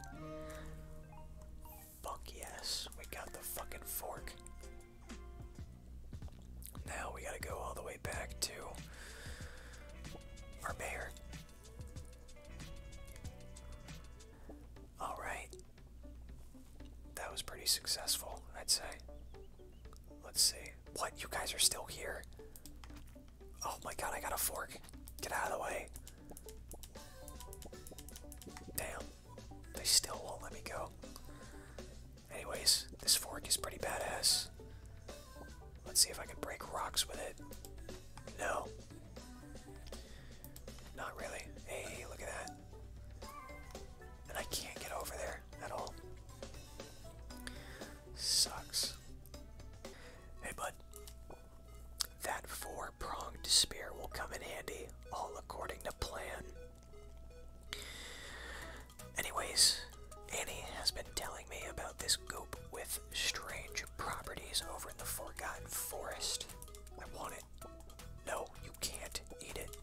Fuck yes, we got the fucking fork. Now we gotta go all the way back to our mayor. Alright. That was pretty successful, I'd say. Let's see. What? You guys are still here? Oh my god, I got a fork. Get out of the way. Damn. They still won't let me go. Anyways, this fork is pretty badass. Let's see if I can break rocks with it. No. Not really. Hey, look at that. And I can't get over there at all. Sucks. Hey, bud. That four pronged spear will come in handy, all according to plan. Anyways, Annie has been telling me about this goop with strange properties over in the Forgotten Forest. I want it. No, you can't eat it.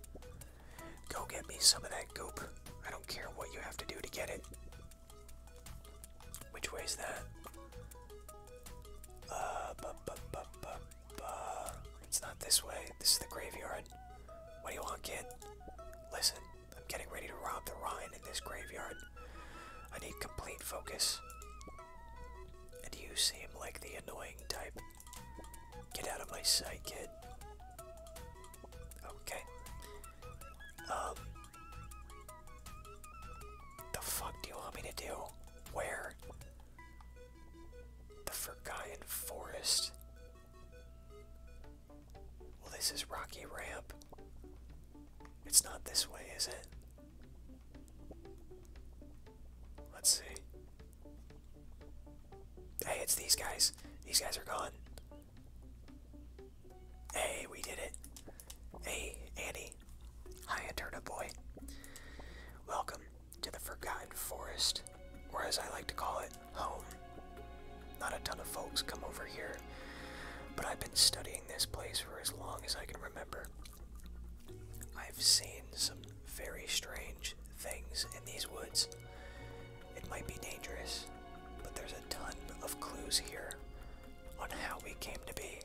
Go get me some of that goop. I don't care what you have to do to get it. Which way is that? Uh, it's not this way. This is the graveyard. What do you want, kid? Listen, I'm getting ready to rob the Rhine in this graveyard. I need complete focus. And you seem like the annoying type. Get out of my sight, kid. Okay. Um, the fuck do you want me to do? Where? The Forgotten Forest. Well, this is Rocky Ramp. It's not this way, is it? Let's see. Hey, it's these guys. These guys are gone. Hey, we did it. Hey, Annie. Hiya, Turtle Boy. Welcome to the Forgotten Forest, or as I like to call it, home. Not a ton of folks come over here, but I've been studying this place for as long as I can remember. I've seen some very strange things in these woods. It might be dangerous, but there's a ton of clues here on how we came to be,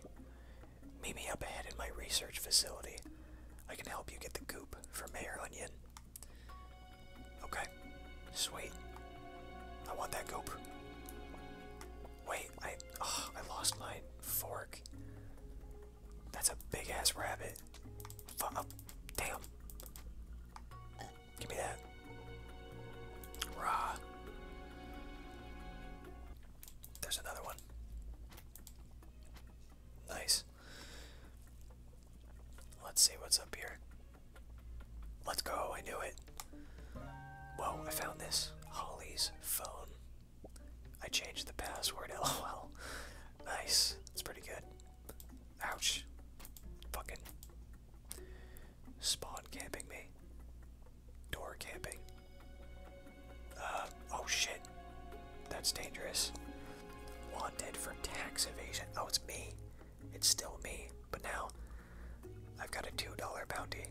Meet me up ahead in my research facility. I can help you get the goop for Mayor Onion. Okay, sweet. I want that goop. Wait, I oh, I lost my fork. That's a big ass rabbit. F oh, damn. Give me that. Rah. There's another one. Nice. Let's see what's up here. Let's go, I knew it. Whoa, I found this. Holly's phone. I changed the password, lol. Nice, that's pretty good. Ouch. Fucking spawn camping me. Door camping. Uh, oh shit. That's dangerous. Wanted for tax evasion. Oh, it's me. It's still me. But now, I've got a $2 bounty.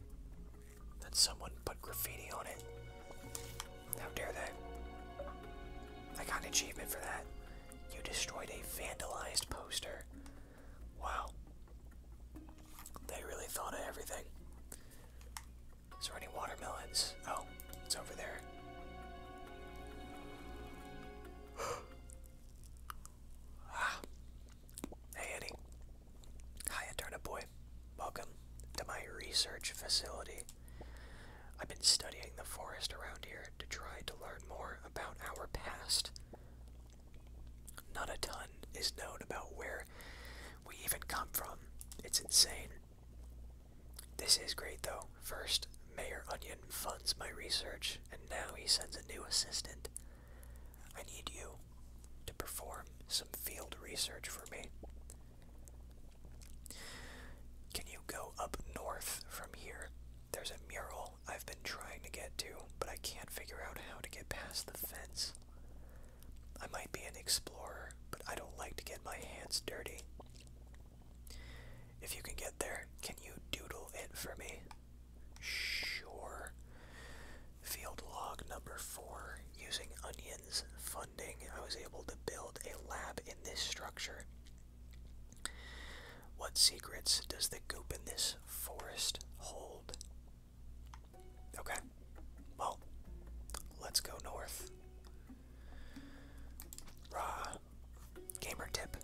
That someone put graffiti on it. How dare they? I got an achievement for that. You destroyed a vandalized poster. Wow. They really thought of everything. Is there any watermelons? Oh, it's over there. Ah. Hey, Eddie. Hi, Eterna Welcome to my research facility. I've been studying the forest around here to try to learn more about our past. Not a ton is known about where we even come from. It's insane. This is great though. First, Mayor Onion funds my research, and now he sends a new assistant. I need you to perform some field research for me. Can you go up north from here? There's a mural I've been trying to get to, but I can't figure out how to get past the fence. I might be an explorer, but I don't like to get my hands dirty. If you can get there, can you doodle it for me? Sure. Field log number four. Using Onion's funding, I was able to build a lab in this structure. What secrets does the goop in this forest hold? Okay. Well, let's go north. Raw. Gamer tip.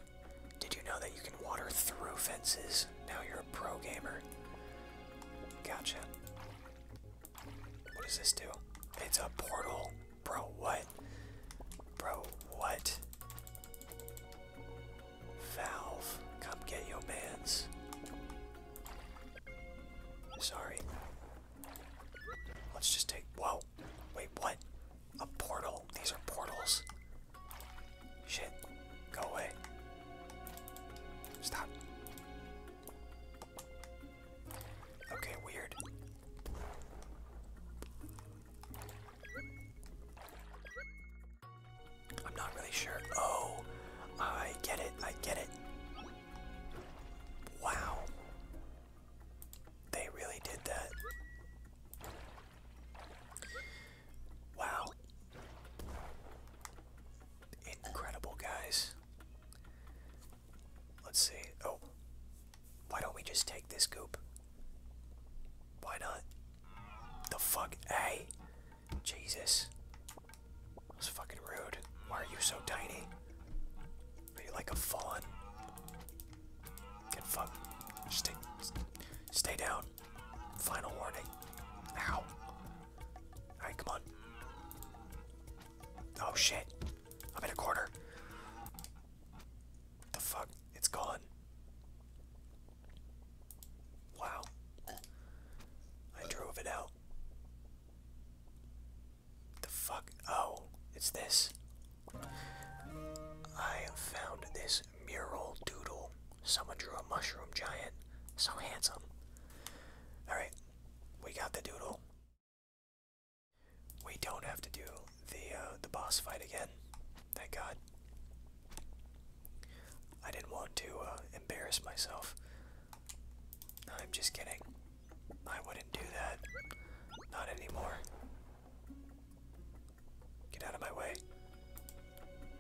Did you know that you can water through fences? Now you're a pro gamer. Gotcha. What does this do? It's a portal. Bro, what? Bro, what? Valve, come get your mans. Sorry. Let's just take. Whoa. Wait, what? A portal? These are portals. Shit. Go away. Stop. Okay, weird. I'm not really sure. Oh, I get it. I get it. Wow. They really did that. Wow. Incredible, guys. Let's see. Oh. Why don't we just take this goop? Why not? The fuck? Hey. Jesus. That's fucking rude. Why are you so tiny? Are you like a fawn? Get fucked. Stay, stay down. Final warning. Ow. Alright, come on. Oh shit. I'm in a corner. the fuck? It's gone. Wow. I drove it out. The fuck? Oh, it's this. I found this mural doodle. Someone drew a mushroom giant. So handsome. Alright, we got the doodle. We don't have to do the uh, the boss fight again. Thank God. I didn't want to uh, embarrass myself. I'm just kidding. I wouldn't do that. Not anymore. Get out of my way.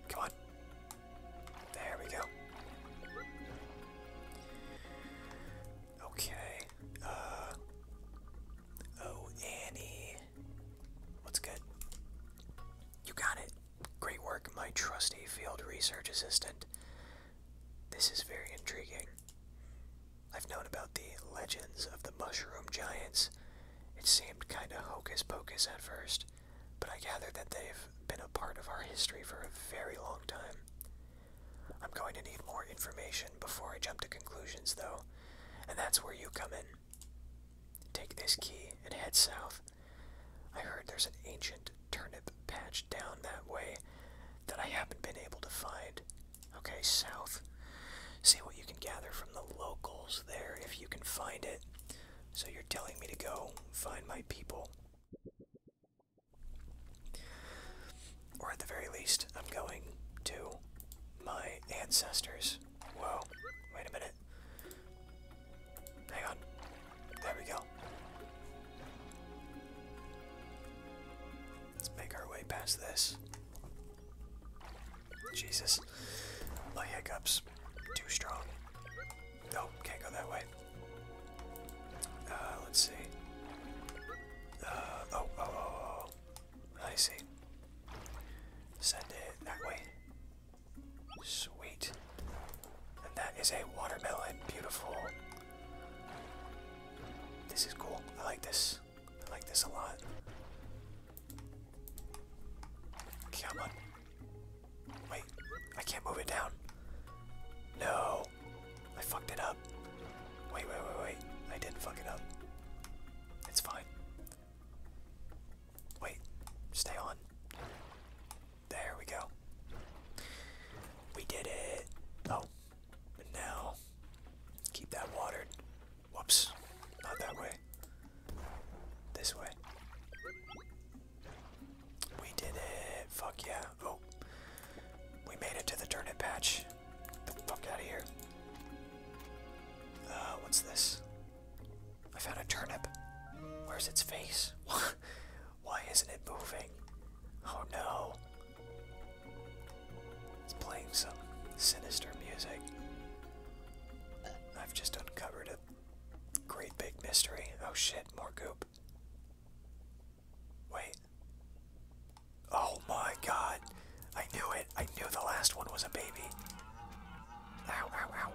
Come on. There we go. Okay. Uh. Oh, Annie. What's good? You got it. Great work, my trusty field research assistant. This is very intriguing. I've known about the legends of the mushroom giants. It seemed kinda hocus pocus at first, but I gather that they've been a part of our history for a very long time. I'm going to need more information before I jump to conclusions, though, and that's where you come in. Take this key and head south. I heard there's an ancient turnip patch down that way that I haven't been able to find. Okay, south. See what you can gather from the locals there if you can find it. So you're telling me to go find my people. Or at the very least, I'm going to my ancestors. Whoa, wait a minute. Hang on. There we go. Let's make our way past this. Jesus. My hiccups. Too strong. No, can't go that way. Uh, let's see. Uh, oh, oh, oh. oh. I see. Send it that way. Sweet. And that is a watermelon. Beautiful. This is cool. I like this. I like this a lot. Come on. Wait, I can't move it down. No. I fucked it up. Wait, wait, wait, wait. I didn't fuck it up. It's fine. Wait, stay on. There we go. We did it. Oh, and now keep that watered. Whoops, not that way. This way. We did it. Fuck yeah. Oh, we made it to the turnip patch. the fuck out of here. Uh, what's this? I found a turnip. Where's its face? Why isn't it moving? Oh no. It's playing some sinister music. I've just uncovered a great big mystery. Oh shit, more goop. Wait. Oh my god. I knew it. I knew the last one was a baby. Ow, ow, ow.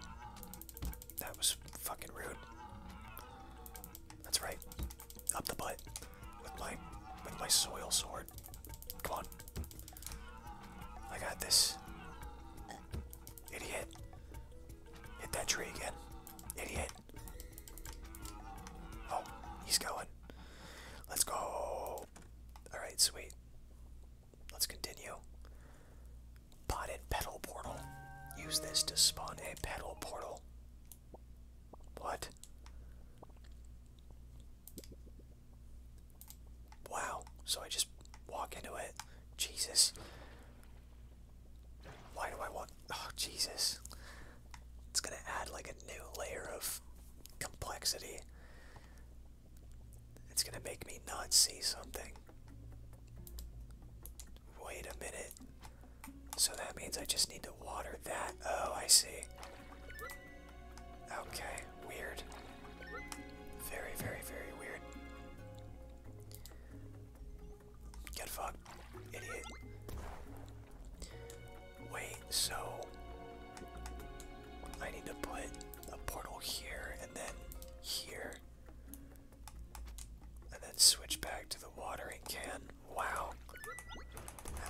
That was fucking rude. That's right. Up the butt with my with my soil sword. Come on. I got this. Idiot. Hit that tree again. Idiot. Oh, he's going. Let's go. Alright, sweet. Let's continue. Potted petal portal. Use this to spawn a petal portal. What? Wow. So I just walk into it. Jesus. Why do I want... Oh, Jesus. It's gonna add like a new layer of complexity. It's gonna make me not see something. Wait a minute. So that means I just need to water that. Oh, I see. Okay, weird. Very, very, very weird. Get fucked, idiot. Wait, so I need to put a portal here and then here. And then switch back to the watering can. Wow.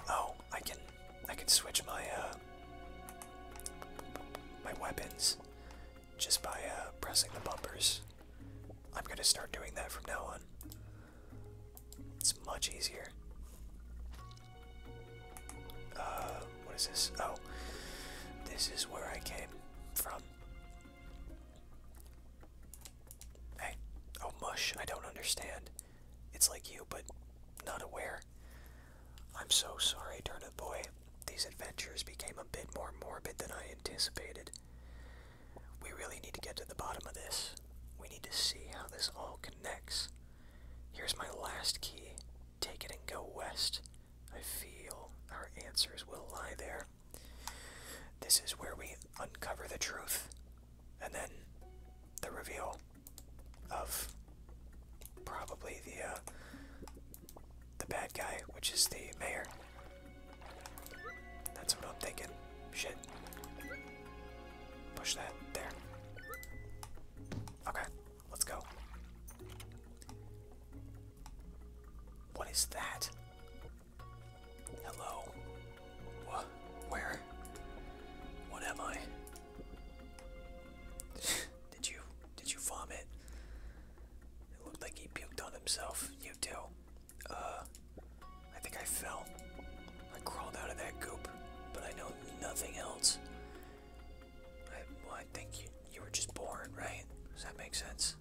Oh, I can I can switch my uh, my weapons just by uh, pressing the bumpers. I'm gonna start doing that from now on. It's much easier. Uh what is this? Oh. This is where I came from. Hey, oh mush, I don't understand. It's like you, but not aware. I'm so sorry, Turnip Boy. These adventures became a bit more morbid than I anticipated. We really need to get to the bottom of this. We need to see how this all connects. Here's my last key. Take it and go west. I feel our answers will lie there. This is where we uncover the truth and then the reveal of probably the uh, the bad guy, which is the mayor. That's what I'm thinking. Shit. Push that there. Okay, let's go. What is that? Hello. Where? What am I? did you did you vomit? It looked like he puked on himself. You too. Uh, I think I fell. I crawled out of that goop, but I know nothing else. I, well, I think you, you were just born, right? Does that make sense?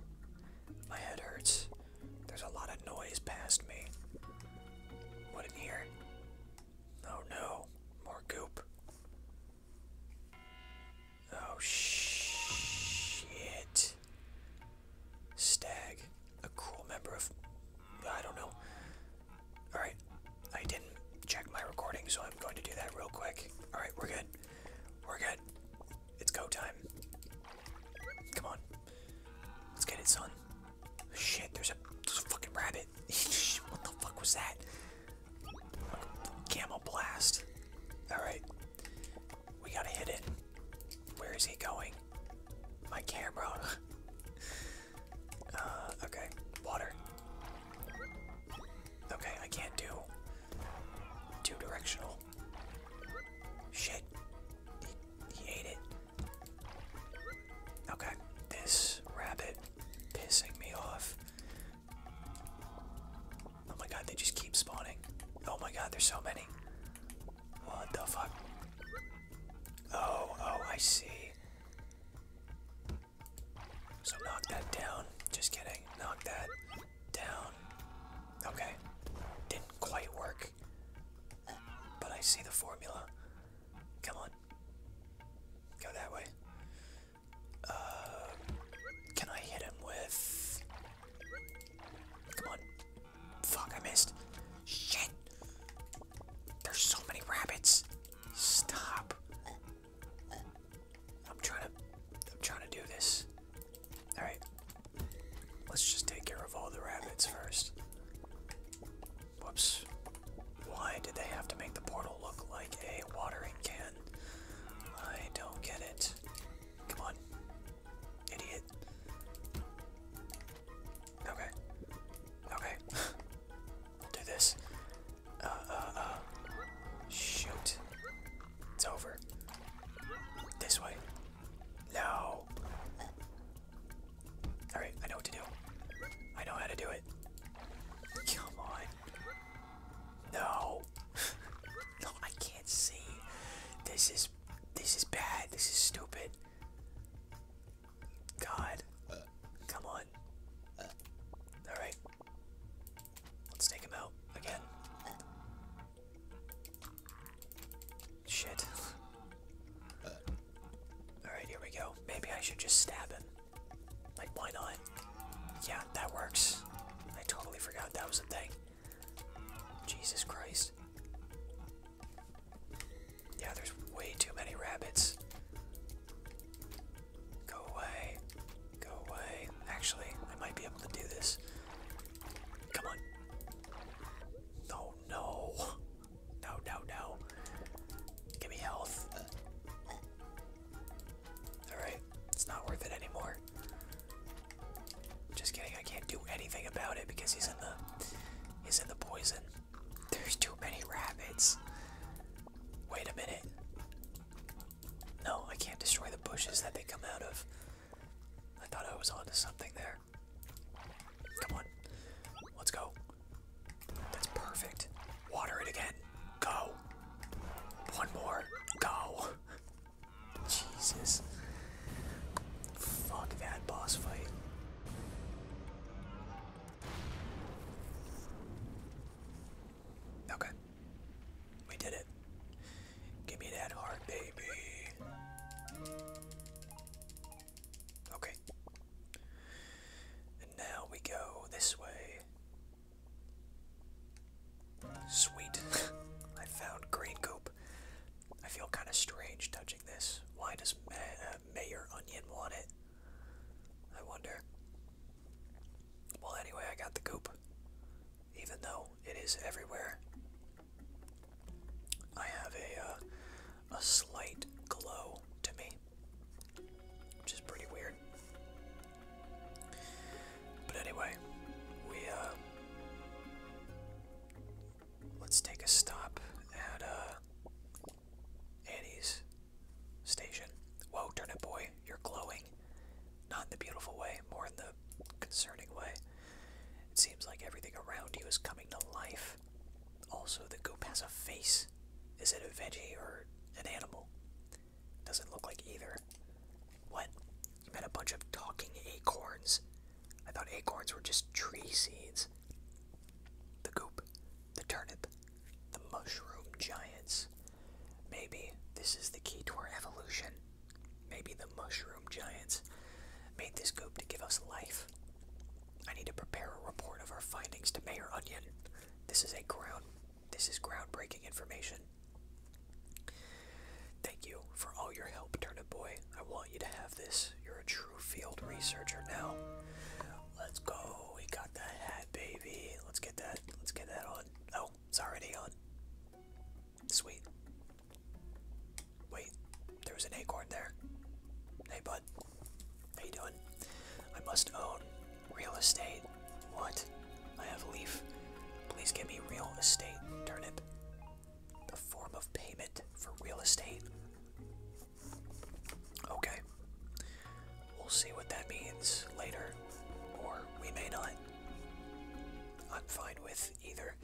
My head hurts. There's a lot of noise past me. What in here? Oh no, more goop. Oh shit. Stag, a cruel member of. I don't know. Alright, I didn't check my recording, so I'm going to do that real quick. Alright, we're good. We're good. It's go time. Come on. Let's get it, son. Shit, there's a, fucking rabbit. what the fuck was that? Gamma blast. Alright. We gotta hit it. Where is he going? My camera. uh, okay. Water. Okay, I can't do two directional. Shit. he ate it. Okay, this rabbit pissing me off. Oh my god, they just keep spawning. Oh my god, there's so many. What the fuck? Oh, oh, I see. So knock that down. Just kidding. Knock that down. Okay. Didn't quite work. But I see the formula. Come on. Go that way. Uh, can I hit him with. Come on. Fuck, I missed. Shit! There's so many rabbits. Stop. I'm trying to. I'm trying to do this. Alright. Let's just take care of all the rabbits first. Whoops. Why did they have to make the portal look like a watering can? I don't get it. Come on. Idiot. Okay. Okay. I'll do this. Uh, uh, uh. Shoot. It's over. This way. No. Alright, I know what to do. I know how to do it. Come on. No. no, I can't see. This is this is bad. This is stupid. God. Come on. Alright. Let's take him out again. Shit. Uh, alright, here we go. Maybe I should just stab him. Like, why not? Yeah, that works. I totally forgot that was a thing. Jesus Christ. Yeah, there's way too many rabbits. Go away. Go away. Actually, I might be able to do this. Come on. Oh no. No, no, no. Give me health. Alright, it's not worth it anymore. Just kidding, I can't do anything about it because he's in the he's in the poison. There's too many rabbits. Wait a minute. No, I can't destroy the bushes that they come out of. I thought I was onto something there. Come on. Let's go. That's perfect. Water it again. Go. One more. Go. Jesus. Fuck that boss fight. Okay. We did it. Give me that heart, baby. Okay. And now we go this way. Sweet. I found green goop. I feel kind of strange touching this. Why does uh, Mayor Onion want it? I wonder. Well, anyway, I got the goop. Even though it is everywhere, I have a uh, a slight glow to me, which is pretty weird. But anyway, we uh, let's take a stop at uh, Annie's station. Whoa, turn it, boy, you're glowing. Not in the beautiful way, more in the concerning way. It seems like everything around you is coming to life. Also, the goop has a face. Is it a veggie or an animal? Doesn't look like either. What? You met a bunch of talking acorns. I thought acorns were just tree seeds. The goop, the turnip, the mushroom giants. Maybe this is the key to our evolution. Maybe the mushroom giants made this goop to give us life. I need to prepare a report of our findings to Mayor Onion. This is a ground this is groundbreaking information. Thank you for all your help, Turnip Boy. I want you to have this. You're a true field researcher now. Let's go. We got that hat, baby. Let's get that. Let's get that on. Oh, it's already on. Sweet. Wait, there was an acorn there. Hey bud, how you doing? I must own real estate. What? I have a leaf. Please give me real estate, turnip. The form of payment for real estate. Okay. We'll see what that means later, or we may not. I'm fine with either.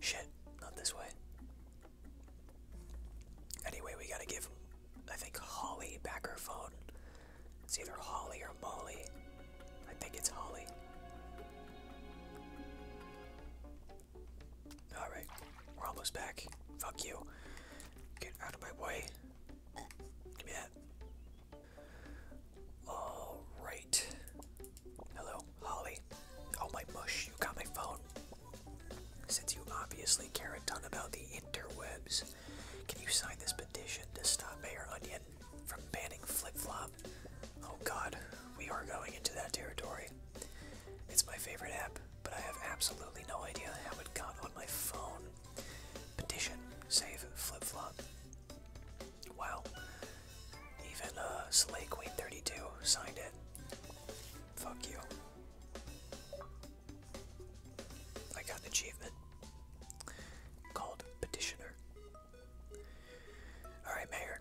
Shit, not this way. Anyway, we gotta give, I think, Holly back her phone. It's either Holly or Molly. I think it's Holly. Alright, we're almost back. Fuck you. Get out of my way. Give me that. Alright. Hello, Holly. Oh, my mush. You got my phone. Since you obviously care a ton about the interwebs, can you sign this petition to stop Mayor Onion from banning Flip Flop? Oh god, we are going into that territory. It's my favorite app, but I have absolutely no idea how it got on my phone. Petition, save Flip Flop. Wow. Even uh, Slay Queen 32 signed it. Fuck you. I got an achievement called Petitioner. Alright, Mayor.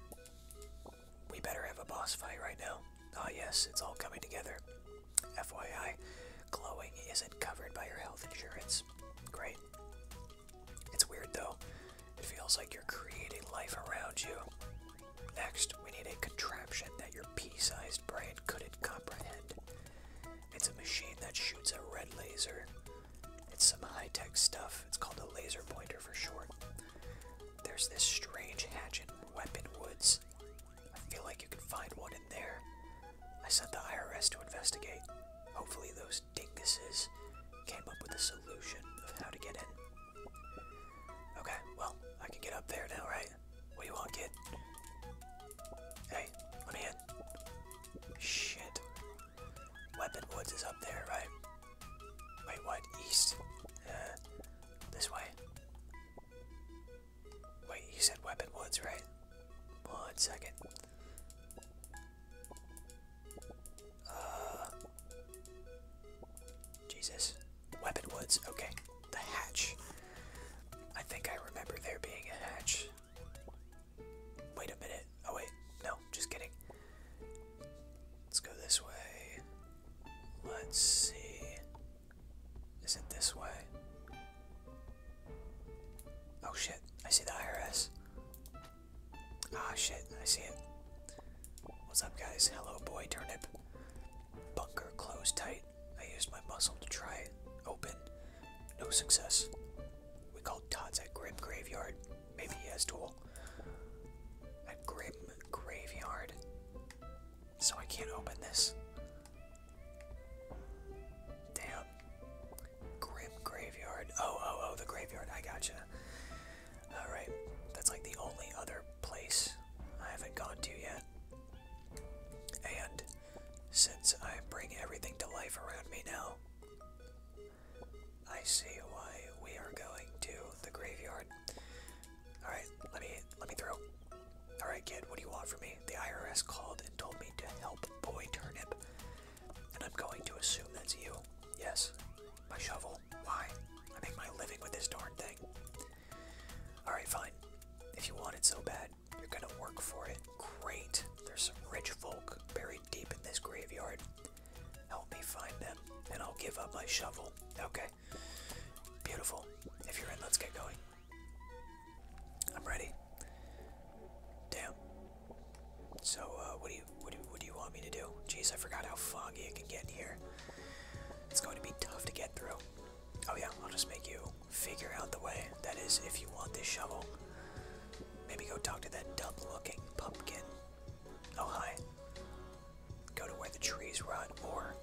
We better have a boss fight right now. Ah, yes, it's all coming together. FYI, glowing isn't covered by your health insurance. Great. It's weird though. It feels like you're creating life around you. Next, we need a contraption that your pea sized brain couldn't comprehend. It's a machine that shoots a red laser. It's some high tech stuff, it's called a laser pointer for short. There's this strange hatch in Weapon Woods. I feel like you can find one in there. I sent the IRS to investigate. Hopefully, those dinguses came up with a solution of how to get in. Okay, well, I can get up there now, right? What do you want, kid? Hey, let me in. Shit. Weapon Woods is up there, right? Wait, what? East? Uh, this way. Wait, you said Weapon Woods, right? One second. Uh. Jesus. Weapon Woods, okay the hatch. I think I remember there being a hatch. Wait a minute. Oh, wait. No, just kidding. Let's go this way. Let's see. Is it this way? Oh shit, I see the IRS. Ah shit, I see it. What's up, guys? Hello, boy turnip. Bunker closed tight. I used my muscle to try it open. No success. We called Todd's at Grim Graveyard. Maybe he has tool. At Grim Graveyard. So I can't open this. Damn. Grim Graveyard. Oh, oh, oh, the graveyard. I gotcha. Alright. That's like the only other place I haven't gone to yet. And since I bring everything to life around me now, I see why we are going to the graveyard. All right, let me let me through. All right, kid, what do you want from me? The IRS called and told me to help Boy Turnip, and I'm going to assume that's you. Yes, my shovel. Why? I make my living with this darn thing. Alright, fine. If you want it so bad, you're gonna work for it. Great. There's some rich folk buried deep in this graveyard. Help me find them, and I'll give up my shovel. Okay. Beautiful. If you're in, let's get going. I'm ready. Damn. So, uh, what do you what do what do you want me to do? Jeez, I forgot how foggy it can get in here. It's going to be tough to get through. Oh yeah, I'll just make you figure out the way. That is, if you want this shovel. Maybe go talk to that dumb-looking pumpkin. Oh hi. Go to where the trees rot, or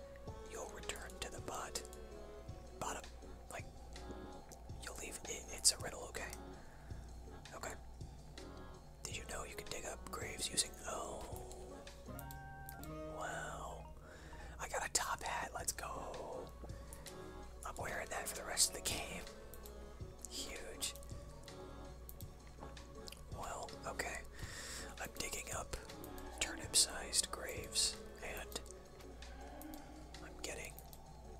you'll return to the bot. Bottom. Like, you'll leave. It, it's a riddle, okay? Okay. Did you know you can dig up graves using. Oh. Wow. I got a top hat. Let's go. I'm wearing that for the rest of the game. Huge. Well, okay. I'm digging up turnip sized graves and I'm getting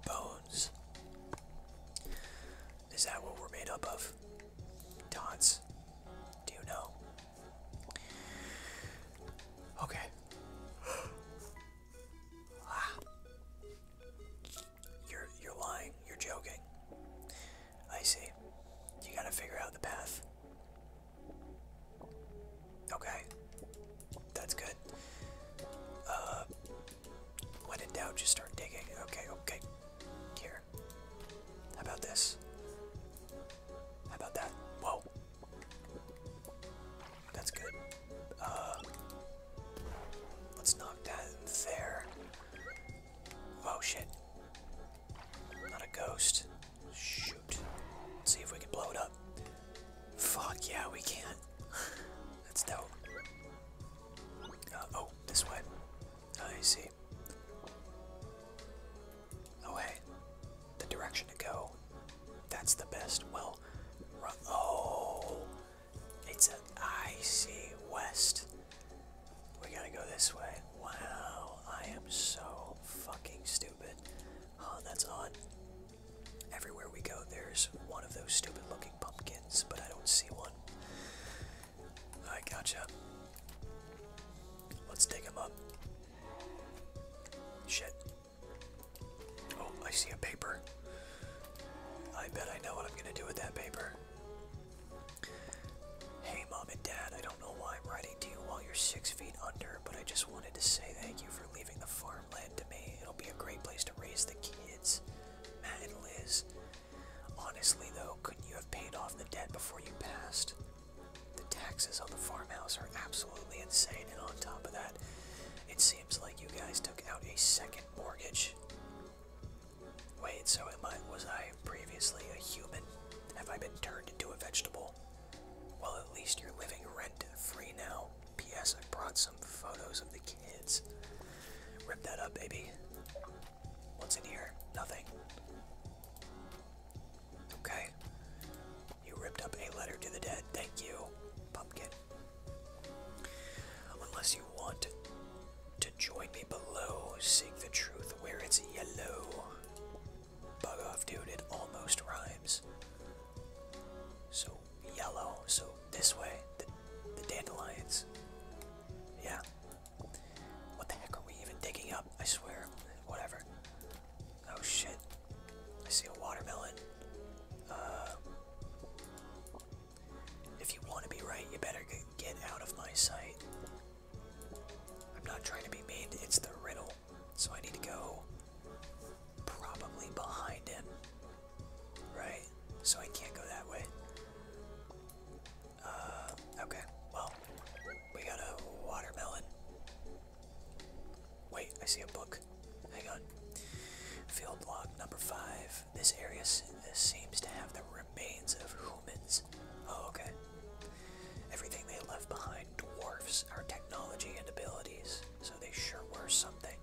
bones. Is that what we're made up of? Dots. Do you know? Okay. You're you're lying. You're joking. I see. You gotta figure out the path. Okay. That's good. Uh when in doubt just start digging. Okay, okay. Here. How about this? How about that? Whoa. That's good. Uh, let's knock that there. Oh shit. Not a ghost. Shoot. see if we can blow it up. Fuck yeah, we can. That's dope. Uh, oh, this way. I see. Oh hey, the direction to go. That's the best. Well, Oh, it's an icy west. We gotta go this way. Wow, I am so fucking stupid. Oh, that's odd. Everywhere we go, there's one of those stupid looking pumpkins, but I don't see one. I gotcha. Let's dig him up. Shit. Oh, I see a paper. I bet I know what I'm gonna do with that paper. Hey, mom and dad, I don't know why I'm writing to you while you're six feet under, but I just wanted to say thank you for leaving the farmland to me. It'll be a great place to raise the kids, Matt and Liz. Honestly, though, couldn't you have paid off the debt before you passed? The taxes on the farmhouse are absolutely insane, and on top of that, it seems like you guys took out a second mortgage. Wait, so am I, was I previously a human? Have I been turned into a vegetable? Well, at least you're living rent free now. P.S. I brought some photos of the kids. Rip that up, baby. What's in here? Nothing. Okay. You ripped up a letter to the dead. Thank you, pumpkin. Unless you want to join me below, seek the truth where it's yellow. Bug off, dude. It almost rhymes. So yellow. So this way, the, dandelions. Yeah. What the heck are we even digging up? I swear. Whatever. Oh shit. I see a watermelon. Uh, if you want to be right, you better get out of my sight. I'm not trying to be mean, it's the riddle. So I need to go probably behind him. Right? So I can't go that way. Uh, okay. Well, we got a watermelon. Wait, I see a book. Hang on. Field log number five. This area seems to have the remains of humans. Oh, okay. Everything they left behind dwarfs our technology and abilities, so they sure were something.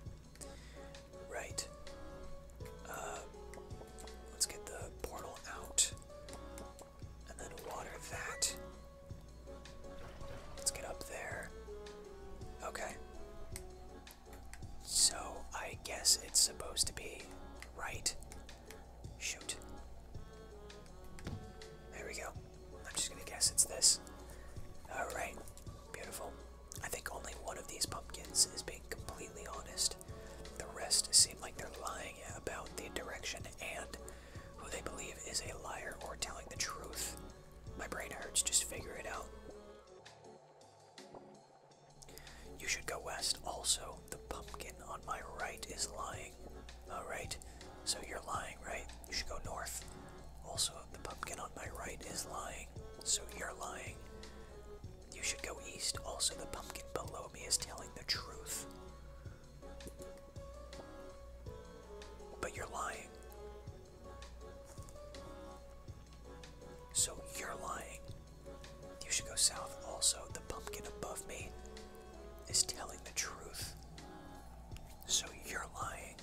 Right. Uh, let's get the portal out and then water that. Let's get up there. Okay. So I guess it's supposed to be right. Shoot. There we go. I'm just gonna guess it's this. Alright. Beautiful. I think only one of these pumpkins is being completely honest. The rest seem like they're lying about the direction and who they believe is a liar or telling the truth. My brain hurts, just figure it out. You should go west also. The pumpkin on my right is lying. Alright, so you're lying, right? You should go north. Also, the pumpkin on my right is lying, so you're lying. You should go east. Also, the pumpkin below me is telling the truth. But you're lying. So you're lying. You should go south. Also, the pumpkin above me is telling the truth. So you're lying.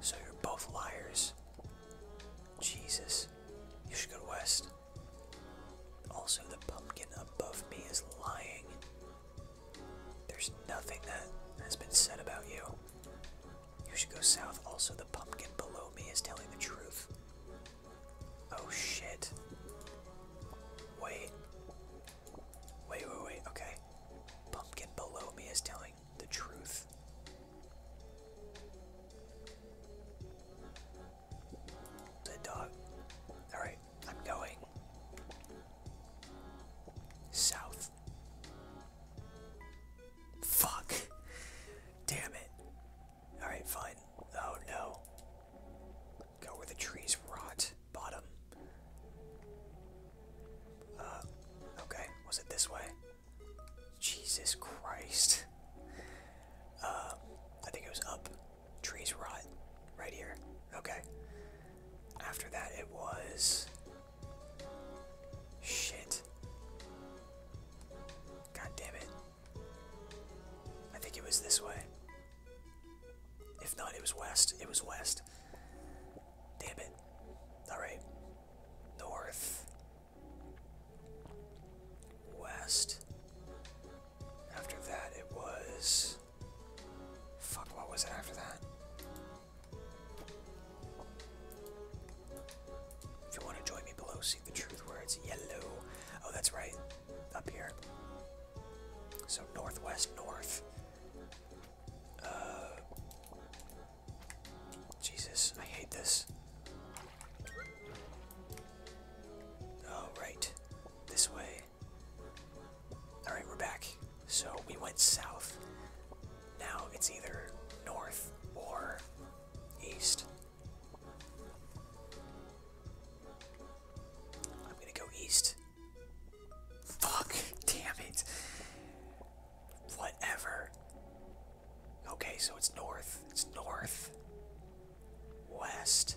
So you're both liars. Jesus. You should go west. Also, the pumpkin above me is lying. There's nothing that has been said about you. You should go south. Also, the pumpkin below me is telling the truth. Oh shit. Wait. Wait, wait, wait. Okay. Pumpkin below me is telling the truth. The dog. Alright. I'm going south. Fuck. Damn it. Alright, fine. Oh no. Go where the trees rot. Bottom. Uh, okay. Was it this way? Jesus Christ. Uh, I think it was up. Trees rot. Right here. Okay. After that, it was. Shit. God damn it. I think it was this way. If not, it was west. It was west. Damn it. Alright. North. West. After that, it was. Fuck, what was it after that? If you want to join me below, see the truth where it's yellow. Oh, that's right. Up here. So, northwest, north. Uh, Jesus, I hate this. Oh, This way. Alright, we're back. So we went south. Now it's either north or east. I'm gonna go east. Fuck! Damn it! Whatever. Okay, so it's north. It's north. West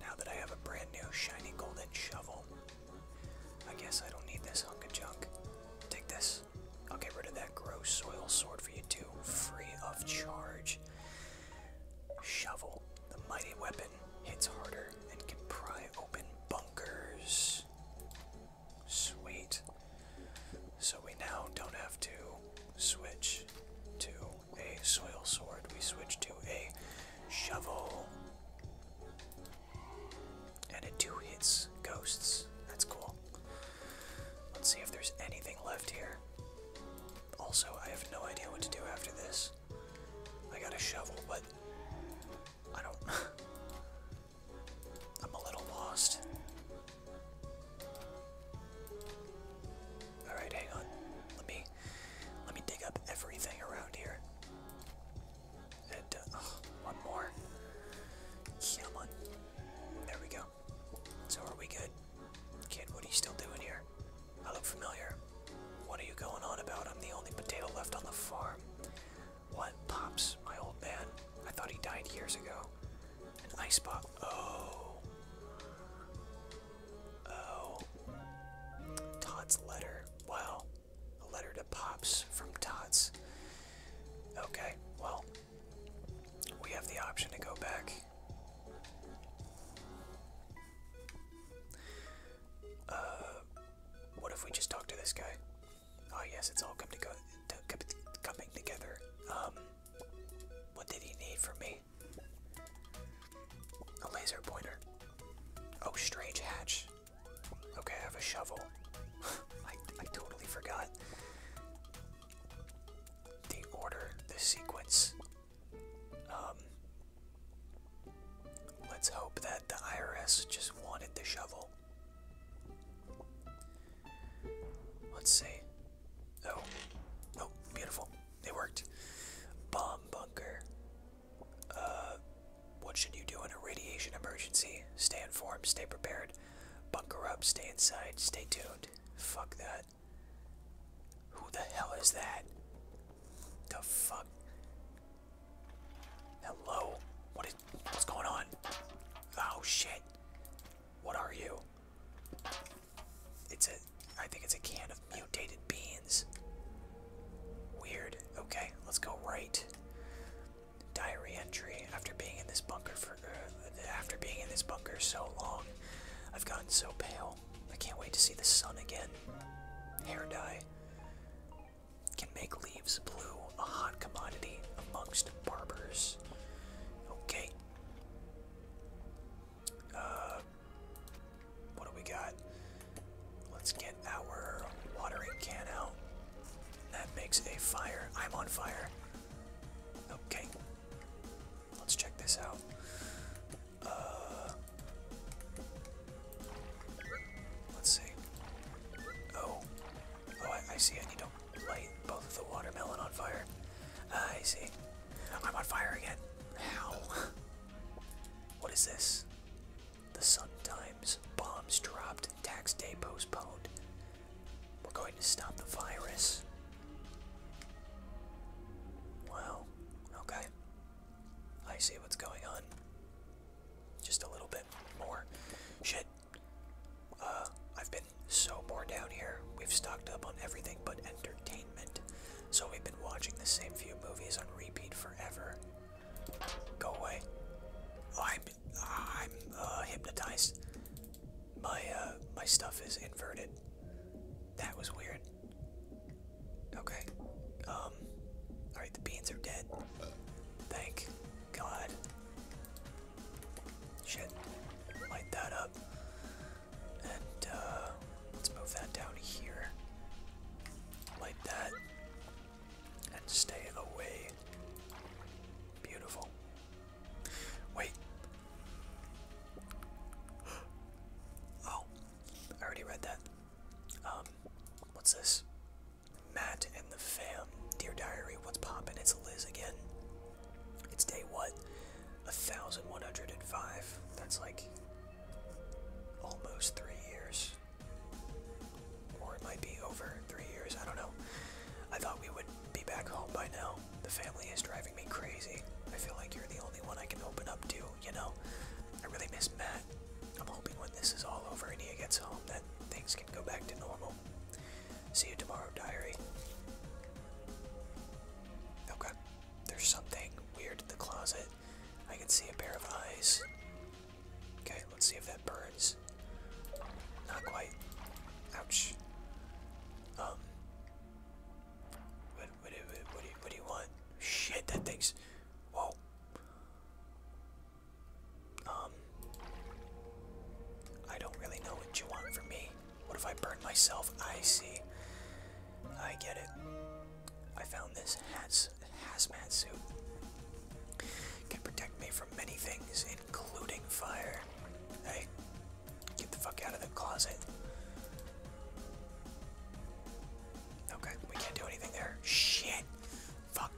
Now that I have a brand new shiny golden shovel, I guess I don't need this hunk of junk. Take this. I'll get rid of that gross soil sword for you too, free of charge. Shovel, the mighty weapon, hits harder and can pry open bunkers. Sweet. So we now don't have to switch to a soil sword, we switch to a shovel. And it two hits ghosts. That's cool. Let's see if there's anything left here. Also, I have no idea what to do after this. I got a shovel, but I don't. I'm a little lost. Alright, hang on. Let me let me dig up everything around here. And uh, oh, one more. Come on. There we go. So are we good? Kid, what are you still doing here? I look familiar. What are you going on about? I'm the only potato left on the farm. What? Pops, my old man. I thought he died years ago. An ice pop. Oh. Oh. Todd's letter. Wow. A letter to Pops from Todd's. Okay, well, we have the option to go back. Uh, what if we just talk to this guy? Oh yes, it's all coming together. Um, what did he need from me? A laser pointer. Oh, strange hatch. Okay, I have a shovel. I, I totally forgot. The order, the sequence. Um, let's hope that the IRS just wanted the shovel. Let's see. Oh, oh, beautiful. They worked. Bomb bunker. Uh, what should you do in a radiation emergency? Stay informed, stay prepared. Bunker up, stay inside, stay tuned. Fuck that. Who the hell is that? The fuck? Hello? What is. What's going on? Oh shit. What are you? It's a, I think it's a can of mutated beans. Weird. Okay, let's go right. Diary entry. After being in this bunker for, uh, after being in this bunker so long, I've gotten so pale. I can't wait to see the sun again. Hair dye can make leaves blue, a hot commodity amongst barbers. Okay. Uh, what do we got? Let's get our watering can out. That makes a fire. I'm on fire. Okay. Let's check this out. Uh, let's see. Oh. Oh, I, see. I need to light both of the watermelon on fire. I see. I'm on fire again. How? What is this? The Sun Times. Bombs dropped. Tax day postponed. We're going to stop the virus. Wow. Okay. I see what's going on. Just a little bit more. Shit. Uh, I've been so bored down here. We've stocked up on everything but entertainment. So we've been watching the same few movies on repeat forever. Go away. I'm I'm uh, hypnotized. My uh, my stuff is inverted. That was weird. Okay. Um. All right, the beans are dead. Thank God. Shit. Light that up. And uh, let's move that down here like that and stay away. Beautiful. Wait. Oh, I already read that. Um, what's this? Matt and the fam. Dear Diary, what's poppin'? It's Liz again. It's day what? 1105. That's like almost three years. Or it might be over three years, I don't know. I thought we would be back home by now. The family is driving me crazy. I feel like you're the only one I can open up to, you know? I really miss Matt. I'm hoping when this is all over and he gets home that things can go back to normal. See you tomorrow, diary. Okay. There's something weird in the closet. I can see a pair of eyes. Okay, let's see if that burns. Not quite. Ouch. Um. What, what, do you, what do you want? Shit, that thing's. Whoa. Um. I don't really know what you want from me. What if I burn myself? I see. I get it. I found this hats, hazmat suit. Can protect me from many things, including fire. Hey, get the fuck out of the closet. Okay, we can't do anything there. Shit! Fuck.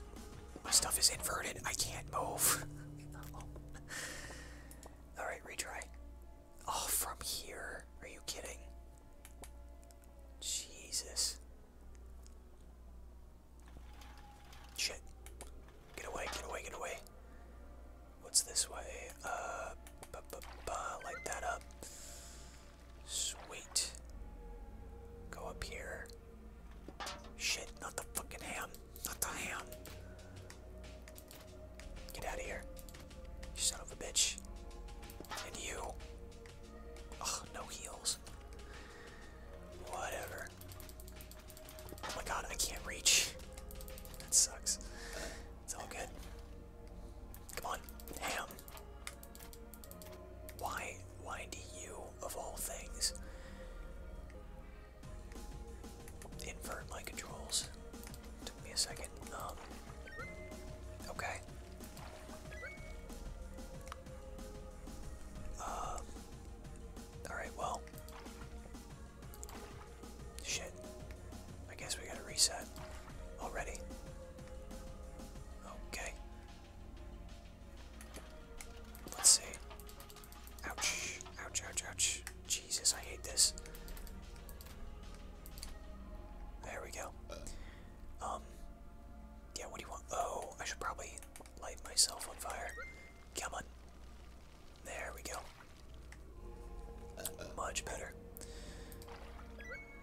My stuff is inverted. I can't move. Alright, retry. Oh, from here? Are you kidding? Jesus. Shit. Get away, get away, get away. What's this way? Uh, light that up. Sweet. Go up here. Shit, not the fucking ham. Not the ham. Get out of here. You son of a bitch. And you. Oh, no heals. Whatever. Oh my god, I can't reach. That sucks. It's all good. Come on, ham. Why, why do you, of all things, invert my controls? Took me a second fucking um, Okay. Uh, Alright, well. Shit. I guess we gotta reset already. Okay. Let's see. Ouch. Ouch, ouch, ouch. Jesus, I hate this. There we go. Um, yeah, what do you want? Oh, I should probably light myself on fire. Come on. There we go. Much better.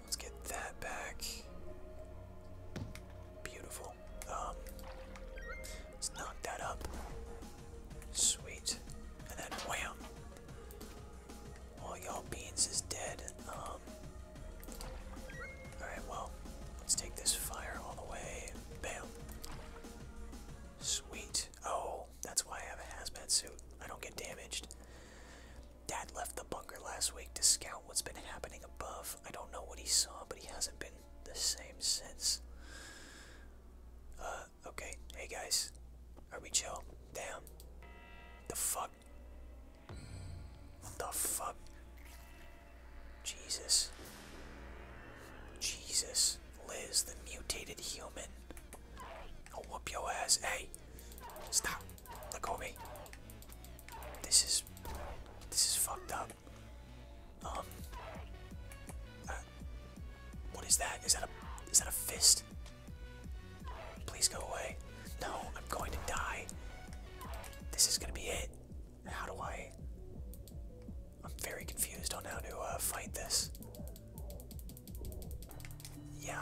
Let's get that back. Beautiful. Um, let's knock that up. Sweet. And then wham! All y'all beans is dead. Um, alright, well, let's take this fire all the way. Bam. Sweet. Oh, that's why I have a hazmat suit. I don't get damaged. Dad left the bunker last week to scout what's been happening above. I don't know what he saw, but he hasn't been the same since. Uh, okay. Hey guys. Are we chill? Damn. The fuck? What the fuck? Jesus. Jesus. Liz, the mutated human. I'll whoop your ass. Hey! Stop. Look go me. This is... This is fucked up. Um... Uh, what is that? Is that a... Is that a fist? Please go away. No, I'm going to die. This is gonna be it. How do I? I'm very confused on how to uh, fight this. Yeah.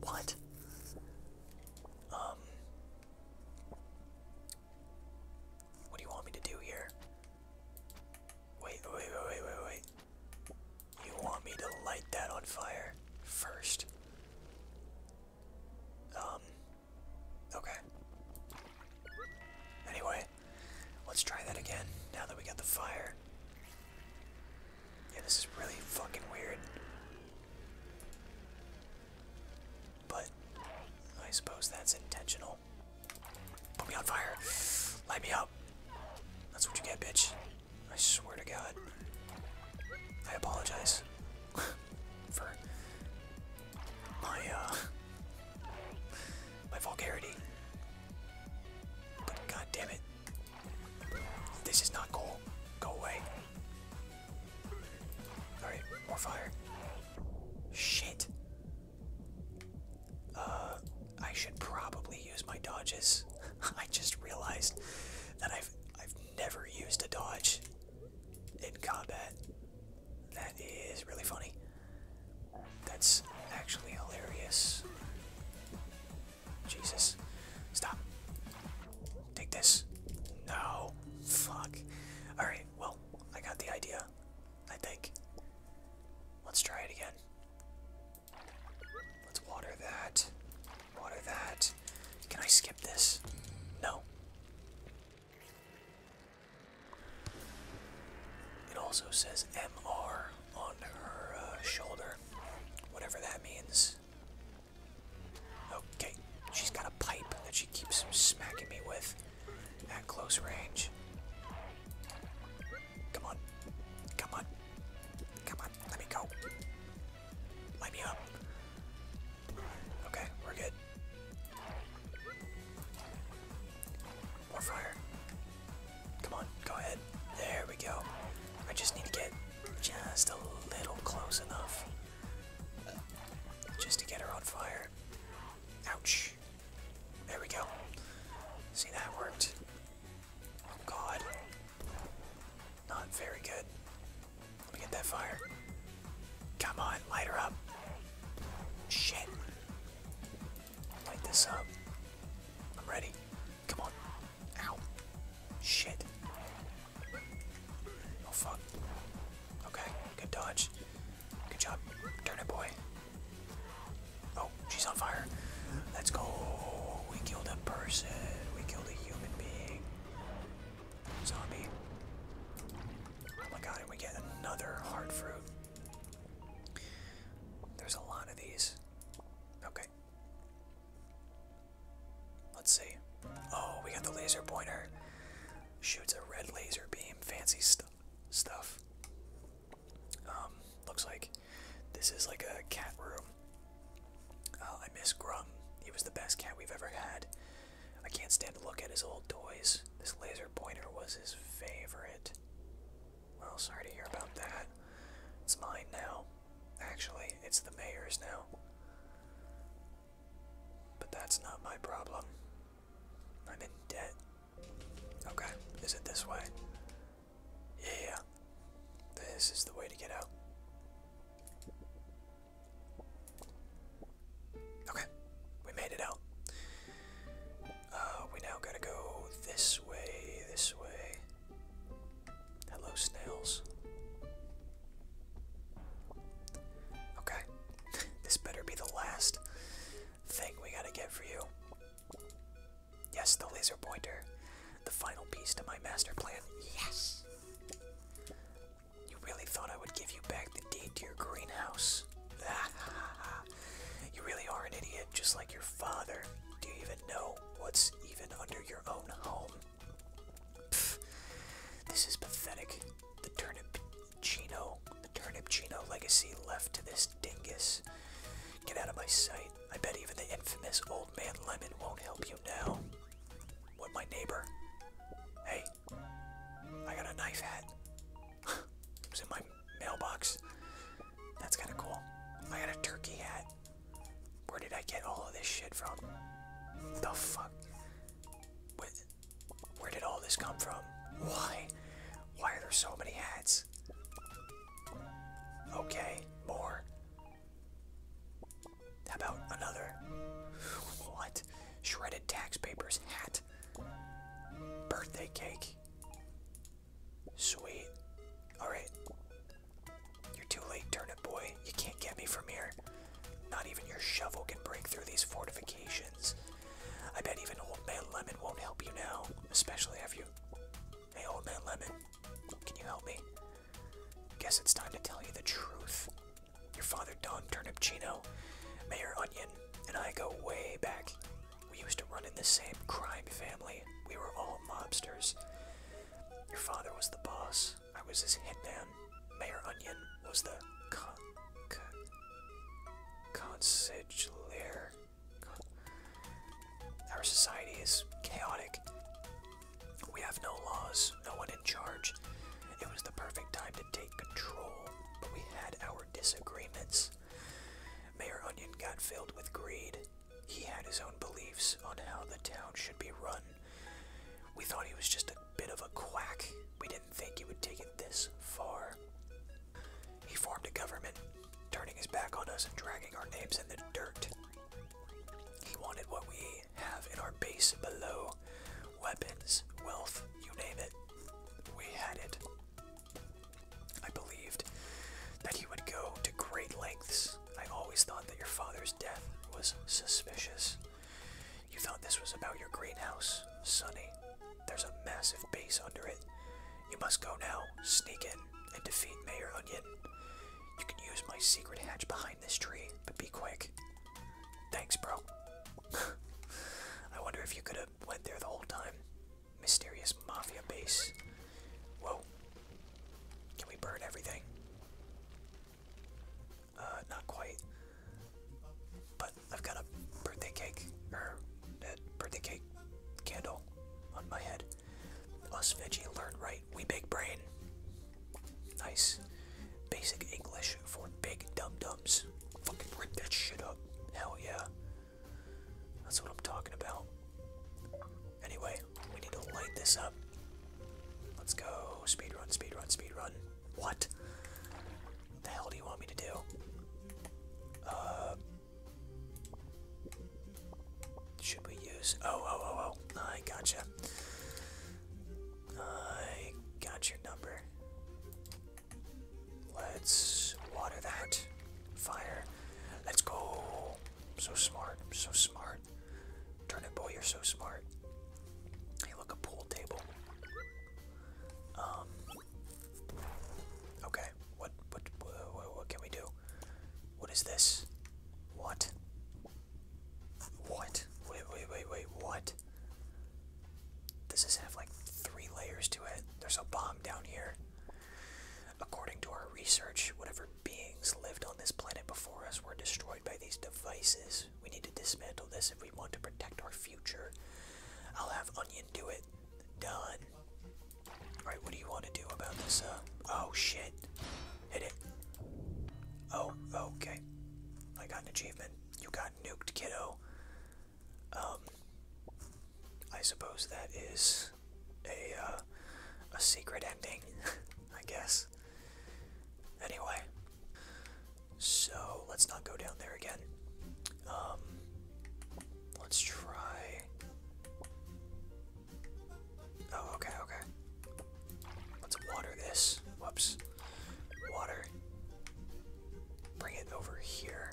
What? Um. What do you want me to do here? Wait, wait, wait, wait, wait, wait. You want me to light that on fire first? Um, okay. Anyway, let's try that again now that we got the fire. Yeah, this is really fucking weird. But I suppose that's intentional. Put me on fire. Light me up. That's what you get, bitch. I swear to God. I apologize for my uh, my vulgarity. But god it. This is not cool. Go away. Alright, more fire. Shit. Uh I should probably use my dodges. I just realized that I've I've never used a dodge in combat. That is really funny. That's actually hilarious. Jesus. Stop. Take this. No. Fuck. Alright, well, I got the idea. I think. Let's try it again. Let's water that. Water that. Can I skip this? No. It also says MR on her uh, shoulder, whatever that means. Okay, she's got a pipe that she keeps smacking me with at close range. Come on, come on, come on, let me go. Light me up. Okay, we're good. More fire. Come on, go ahead. There we go. I just need to get just a little close enough just to get her on fire. Ouch. There we go. See, that worked. Oh god. Not very good. Let me get that fire. Come on, light her up. Shit. Light this up. I'm ready. Come on. Ow. Shit. Oh fuck. Okay, good dodge. Good job. Turn it, boy. Oh, she's on fire. Let's go. We killed a person. We killed a human being. Zombie. Oh my god, we get another hard fruit. There's a lot of these. Okay. Let's see. Oh, we got the laser pointer. Shoots a red laser beam. Fancy stuff. Um, looks like this is like a cat room. Uh, I miss Grum. He was the best cat we've ever had. I can't stand to look at his old toys. This laser pointer was his favorite. Well, sorry to hear about that. It's mine now. Actually, it's the mayor's now. But that's not my problem. I'm in debt. Okay, is it this way? yeah. This is the way to get out. Okay, we made it out. Uh, we now gotta go this way, this way. Hello, snails. Okay, this better be the last thing we gotta get for you. Yes, the laser pointer. The final piece to my master plan. Yes! You really thought I would give you back the deed to your greenhouse? you really are an idiot, just like your father. Do you even know what's even under your own home? This is pathetic. The turnip chino, the turnip chino legacy left to this dingus. Get out of my sight. I bet even the infamous old man Lemon won't help you now. With my neighbor? Hey, I got a knife hat. it was in my mailbox. That's kind of cool. I got a turkey hat. Where did I get all of this shit from? The fuck? Where, where did all this come from? Why? Why are there so many hats? Okay, more. How about another? What? Shredded tax papers hat. Birthday cake. Sweet. Alright. You're too late, turnip boy. You can't get me from here. Not even your shovel can break through these fortifications. I bet even Old Man Lemon won't help you now, especially if you. Hey, Old Man Lemon, can you help me? Guess it's time to tell you the truth. Your father Don Turnipchino, Mayor Onion, and I go way back. We used to run in the same crime family. We were all mobsters. Your father was the boss. I was his hitman. Mayor Onion was the con Our society is chaotic. We have no laws, no one in charge. It was the perfect time to take control, but we had our disagreements. Mayor Onion got filled with greed. He had his own beliefs on how the town should be run. We thought he was just a bit of a quack. We didn't think he would take it this far. He formed a government, turning his back on us and dragging our names in the dirt. He wanted what we have in our base below weapons, wealth, you name it. We had it. I believed that he would go to great lengths. I always thought that your father's death was suspicious. You thought this was about your greenhouse, Sonny. There's a massive base under it. You must go now, sneak in, and defeat Mayor Onion. You can use my secret hatch behind this tree, but be quick. Thanks, bro. I wonder if you could have went there the whole time. Mysterious mafia base. Whoa. Can we burn everything? Uh, not quite. But I've got a birthday cake, or a uh, birthday cake candle on my head. Us veggie learn right, we big brain. Nice. Basic English for big dum dums. Fucking rip that shit up. Hell yeah. That's what I'm talking about. Anyway, we need to light this up. Let's go. Speed run, speed run, speed run. What? What the hell do you want me to do? Uh. Should we use. Oh, oh, oh, oh. I gotcha. I got your number. Let's water that. Fire. Let's go. So smart. So smart. Turnip boy, you're so smart. Hey, look, a pool table. Um. Okay. What, what? What? What can we do? What is this? What? What? Wait, wait, wait, wait, what? Does this have like three layers to it? There's a bomb down here. According to our research, whatever beings lived on this planet before us were destroyed by these devices. We need to dismantle this if we want to protect our future. I'll have Onion do it. Done. Alright, what do you want to do about this? Uh, oh shit. Hit it. Oh, okay. I got an achievement. You got nuked, kiddo. Um, I suppose that is a uh, a secret ending, I guess. Anyway, so let's not go down there again. Um, let's try. Oh, okay, okay. Let's water this. Whoops. Water. Bring it over here.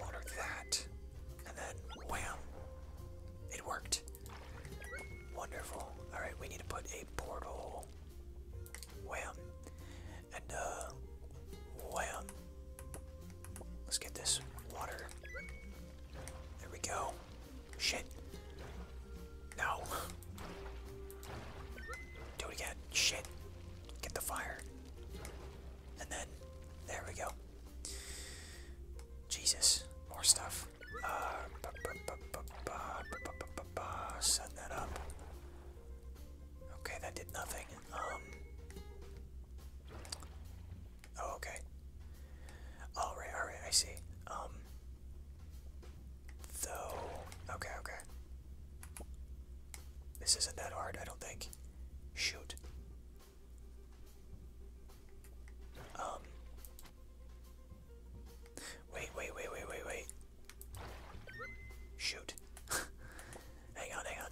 Water that. And then wham. It worked. Wonderful. Alright, we need to put a portal. Wham. And uh wham. Let's get this water. There we go. Shit. No. Do it again. Shit. Get the fire. And then, there we go. Jesus. More stuff. set that up. Okay, that did nothing. Um. Oh, okay. All right, all right, I see. Um. Though. Okay, okay. This isn't that hard, I don't think. Shoot. Um. Wait, wait, wait, wait, wait, wait. Shoot. hang on, hang on.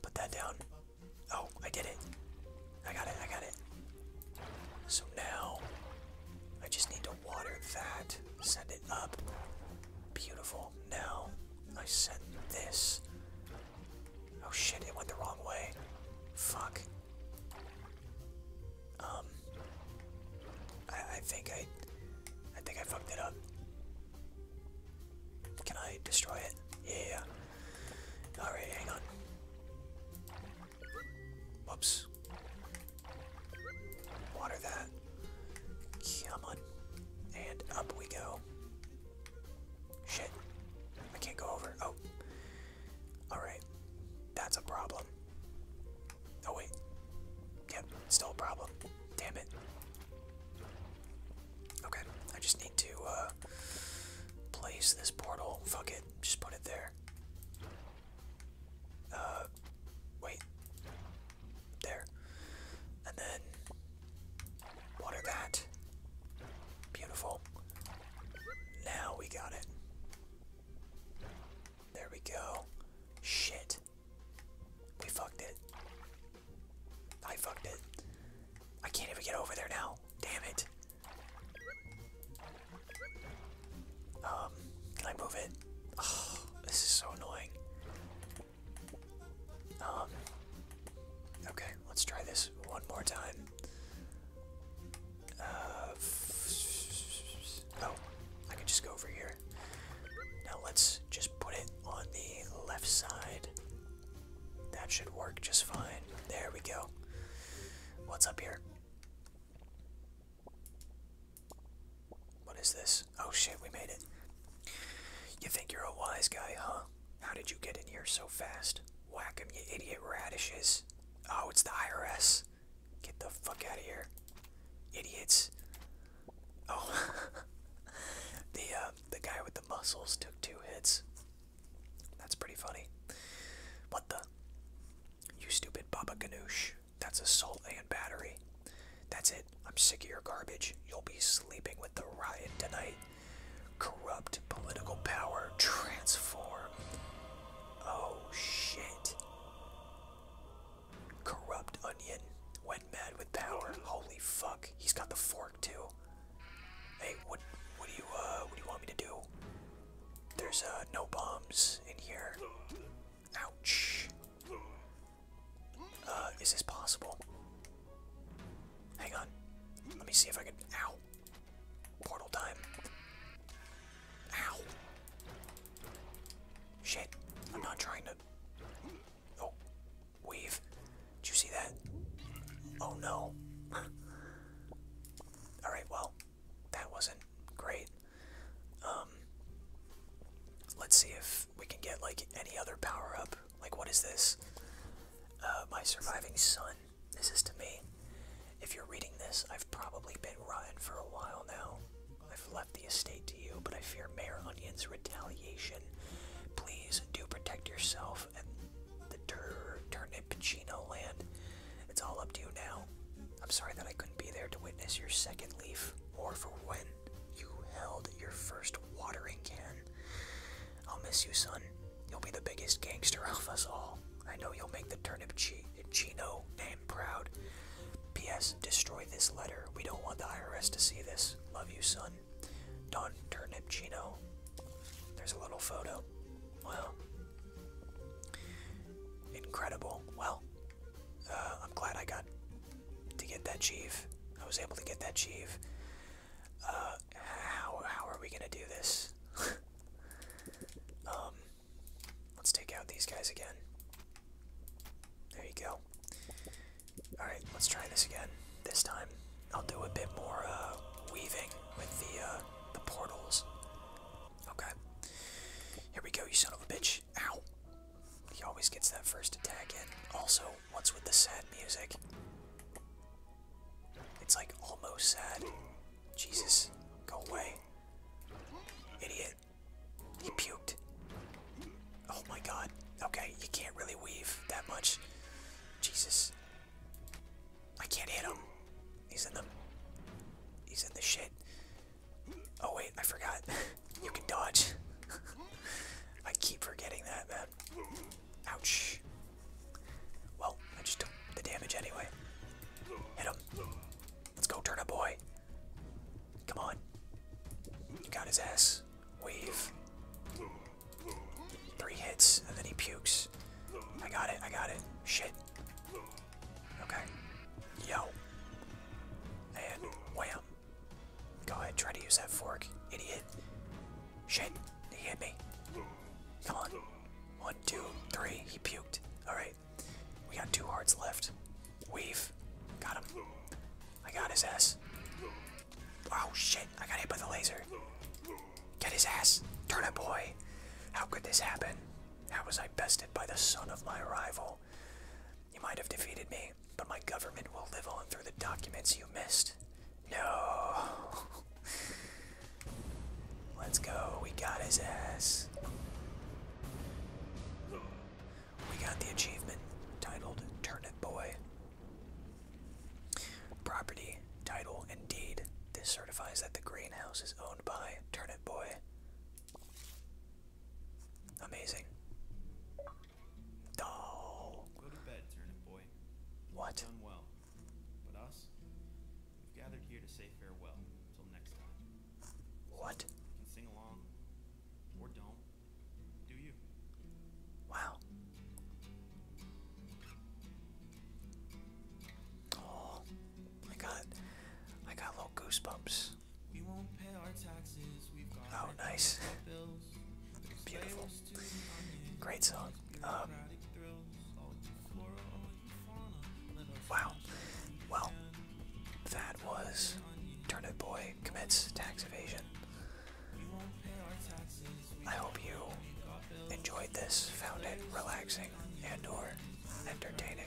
Put that down. Oh, I did it. I got it, I got it. So now, I just need to water that. Send it up. Beautiful. Now, I sent this. Oh shit, it went the wrong way. Fuck. Um. I, I think I. I think I fucked it up. Can I destroy it? Yeah. Alright, hang on. Whoops. Water that. Come on. And up we go. Shit. I can't go over. Oh. Alright. That's a problem. Oh, wait. Yep, still a problem. Damn it. Okay, I just need to uh, place this portal. Fuck it, just put it there. Uh, wait. There. And then water that. Beautiful. Now we got it. There we go. Shit. We fucked it. I fucked it. I can't even get over there now. Damn it. Um, can I move it? Oh, this is so annoying. Um, okay, let's try this one more time. Uh, oh, I can just go over here. Now let's just put it on the left side. That should work just fine. There we go. What's up here? What is this? Oh shit, we made it. You think you're a wise guy, huh? How did you get in here so fast? Whack him, you idiot radishes. Oh, it's the IRS. Get the fuck out of here. Idiots. Oh. the, uh, the guy with the muscles took two hits. That's pretty funny. What the? You stupid Baba Ganoush. That's assault and battery. That's it. I'm sick of your garbage. You'll be sleeping with the riot tonight. Corrupt political power. Transform. Oh shit. Corrupt onion. Went mad with power. Holy fuck. He's got the fork too. Hey, what what do you uh what do you want me to do? There's uh no bombs in here. Ouch. Uh, is this possible? Hang on. Let me see if I can. Ow. Portal time. Ow. Shit. I'm not trying to. Oh. Wave. Did you see that? Oh no. Alright, well, that wasn't great. Um, let's see if we can get like any other power up. Like, what is this? Uh, my surviving son. This is to me. If you're reading this, I've probably been rotten for a while now. I've left the estate to you, but I fear Mayor Onion's retaliation. Please do protect yourself and the tur Turnipicino land. It's all up to you now. I'm sorry that I couldn't be there to witness your second leaf, or for when you held your first watering can. I'll miss you, son. You'll be the biggest gangster of us all. I know you'll make the turnip Chino Gino name proud. P.S. Destroy this letter. We don't want the IRS to see this. Love you, son. Don Turnip Chino. There's a little photo. Wow. Incredible. Well, uh, I'm glad I got to get that chief. I was able to get that chief. Uh, how, how are we gonna do this? um, let's take out these guys again. There you go. Alright, let's try this again. This time, I'll do a bit more uh, weaving with the, the portals. Okay. Here we go, you son of a bitch. Ow. He always gets that first attack in. Also, what's with the sad music? It's like almost sad. Jesus, go away. Idiot. He puked. Oh my god. Okay, you can't really weave that much. Jesus. I can't hit him. He's in the... He's in the shit. Oh wait, I forgot. you can dodge. I keep forgetting that, man. Ouch. Well, I just took the damage anyway. Hit him. Let's go, turn up boy. Come on. got his ass. Wave. Three hits, and then he pukes. I got it, I got it. Shit. Okay. Yo. And wham. Go ahead, try to use that fork, idiot. Shit, he hit me. Come on. One, two, three. He puked. Alright. We got two hearts left. Weave. Got him. I got his ass. Oh shit, I got hit by the laser. Get his ass. Turn it, boy. How could this happen? How was I bested by the son of my rival? You might have defeated me, but my government will live on through the documents you missed. No. Let's go. We got his ass. We got the achievement titled Turnip Boy. Property, title, and deed. This certifies that the greenhouse is owned by Turnip Boy. Amazing. Go to bed, turnip boy. What? you well, but us, we've gathered here to say farewell until next time. What? can sing along, or don't. Do you? Wow. Oh, I got, I got little goosebumps. Oh, nice. Beautiful. Great song. Um, wow. Well, that was Turnip Boy Commits Tax Evasion. I hope you enjoyed this, found it relaxing and or entertaining.